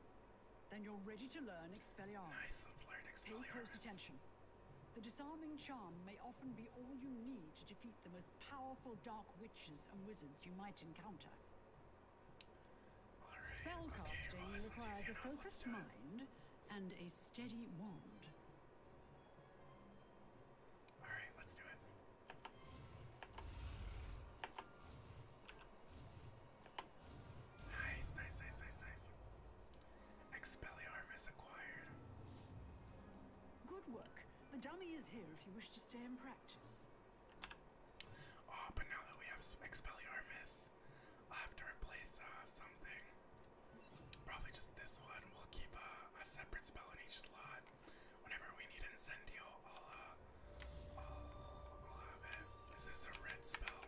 Then you're ready to learn Expelliarmus. Nice, let's learn Pay close attention. The disarming charm may often be all you need to defeat the most powerful dark witches and wizards you might encounter. Spellcasting requires a focused mind and a steady wand. Alright, let's do it. Nice, nice, nice, nice, nice. Expelliarmus acquired. Good work. The dummy is here if you wish to stay and practice. Oh, but now that we have Expelliarmus, I'll have to replace uh, something. Probably just this one. We'll keep uh, a separate spell in each slot. Whenever we need Incendio, uh, I'll, have it. Is this a red spell? No,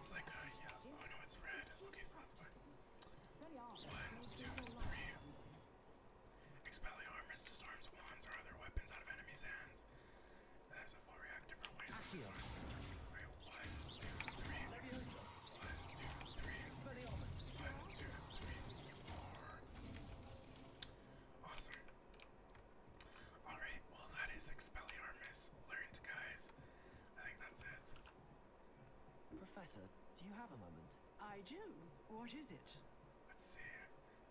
it's like a uh, yellow. Oh no, it's red. Okay, so that's fine. One, two, three. Expelliarmus disarms wands or other weapons out of enemies' hands. There's a full reactive for white. one, two, three. One, two, three. One, two, three, four. Awesome. Alright, well that is Expelliarmus learned, guys. Professor, do you have a moment? I do. What is it? Let's see.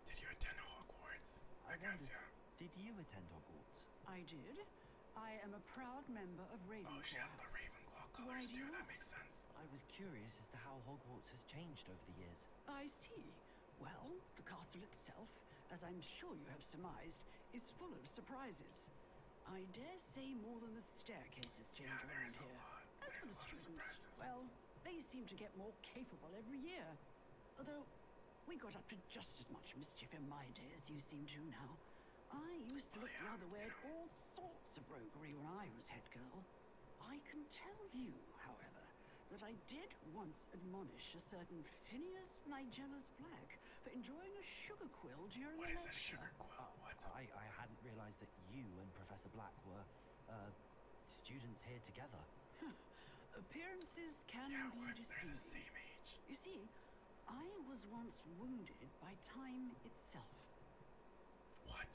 Did you attend Hogwarts? I, guess, yeah. Did you attend Hogwarts? I did. I am a proud member of Ravenclaw. Oh, she has the Ravenclaw colors too. That makes sense. I was curious as to how Hogwarts has changed over the years. I see. Well, the castle itself, as I'm sure you have surmised, is full of surprises. I dare say more than the staircases change yeah, there is a here. As There's for the students, well, they seem to get more capable every year. Although, we got up to just as much mischief in my day as you seem to now. I used to oh, look the other way at all sorts of roguery when I was head girl. I can tell you, however, that I did once admonish a certain Phineas Nigella for enjoying a sugar quill during what is a sugar quill? Oh, what? I, I hadn't realized that you and Professor Black were uh, students here together. Hmm. Appearances can yeah, be deceiving. The same age. You see, I was once wounded by time itself. What?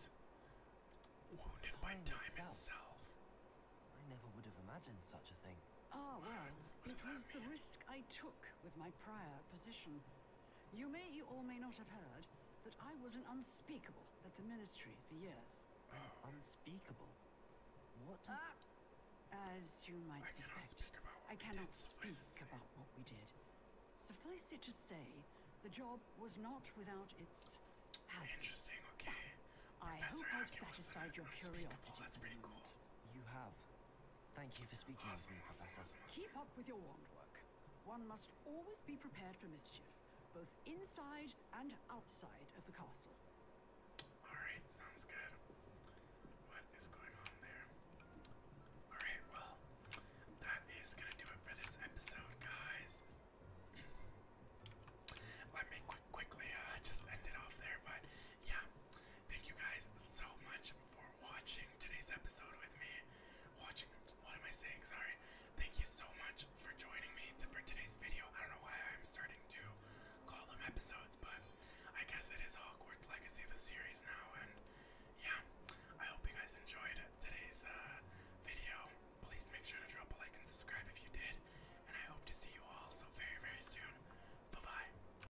Wounded by time itself? I never would have imagined such a thing. Ah, well, it was the risk I took with my prior position. You may or may not have heard that I was an unspeakable at the ministry for years. Oh. Unspeakable? What ah! as you might suspect, I cannot speak about what we did. Suffice it to say, the job was not without its hazards. Interesting, okay. I hope I've satisfied your curiosity. That's pretty cool. You have. Thank you for speaking with me, Professor. Keep up with your wand work. One must always be prepared for mischief, both inside and outside of the castle. Alright, sounds good. What is going on there? Alright, well, that is going to do it for this episode, guys. Let me quick, quickly uh, just end it off there, but yeah, thank you guys so much for watching today's episode with me. Watching, what am I saying? Sorry. Thank you so much for joining me for today's video. I don't know why I'm starting to call them episodes, but I guess it is Hogwarts Legacy, the series now. And yeah, I hope you guys enjoyed today's uh, video. Please make sure to drop a like and subscribe if you did. And I hope to see you all so very, very soon. Bye bye.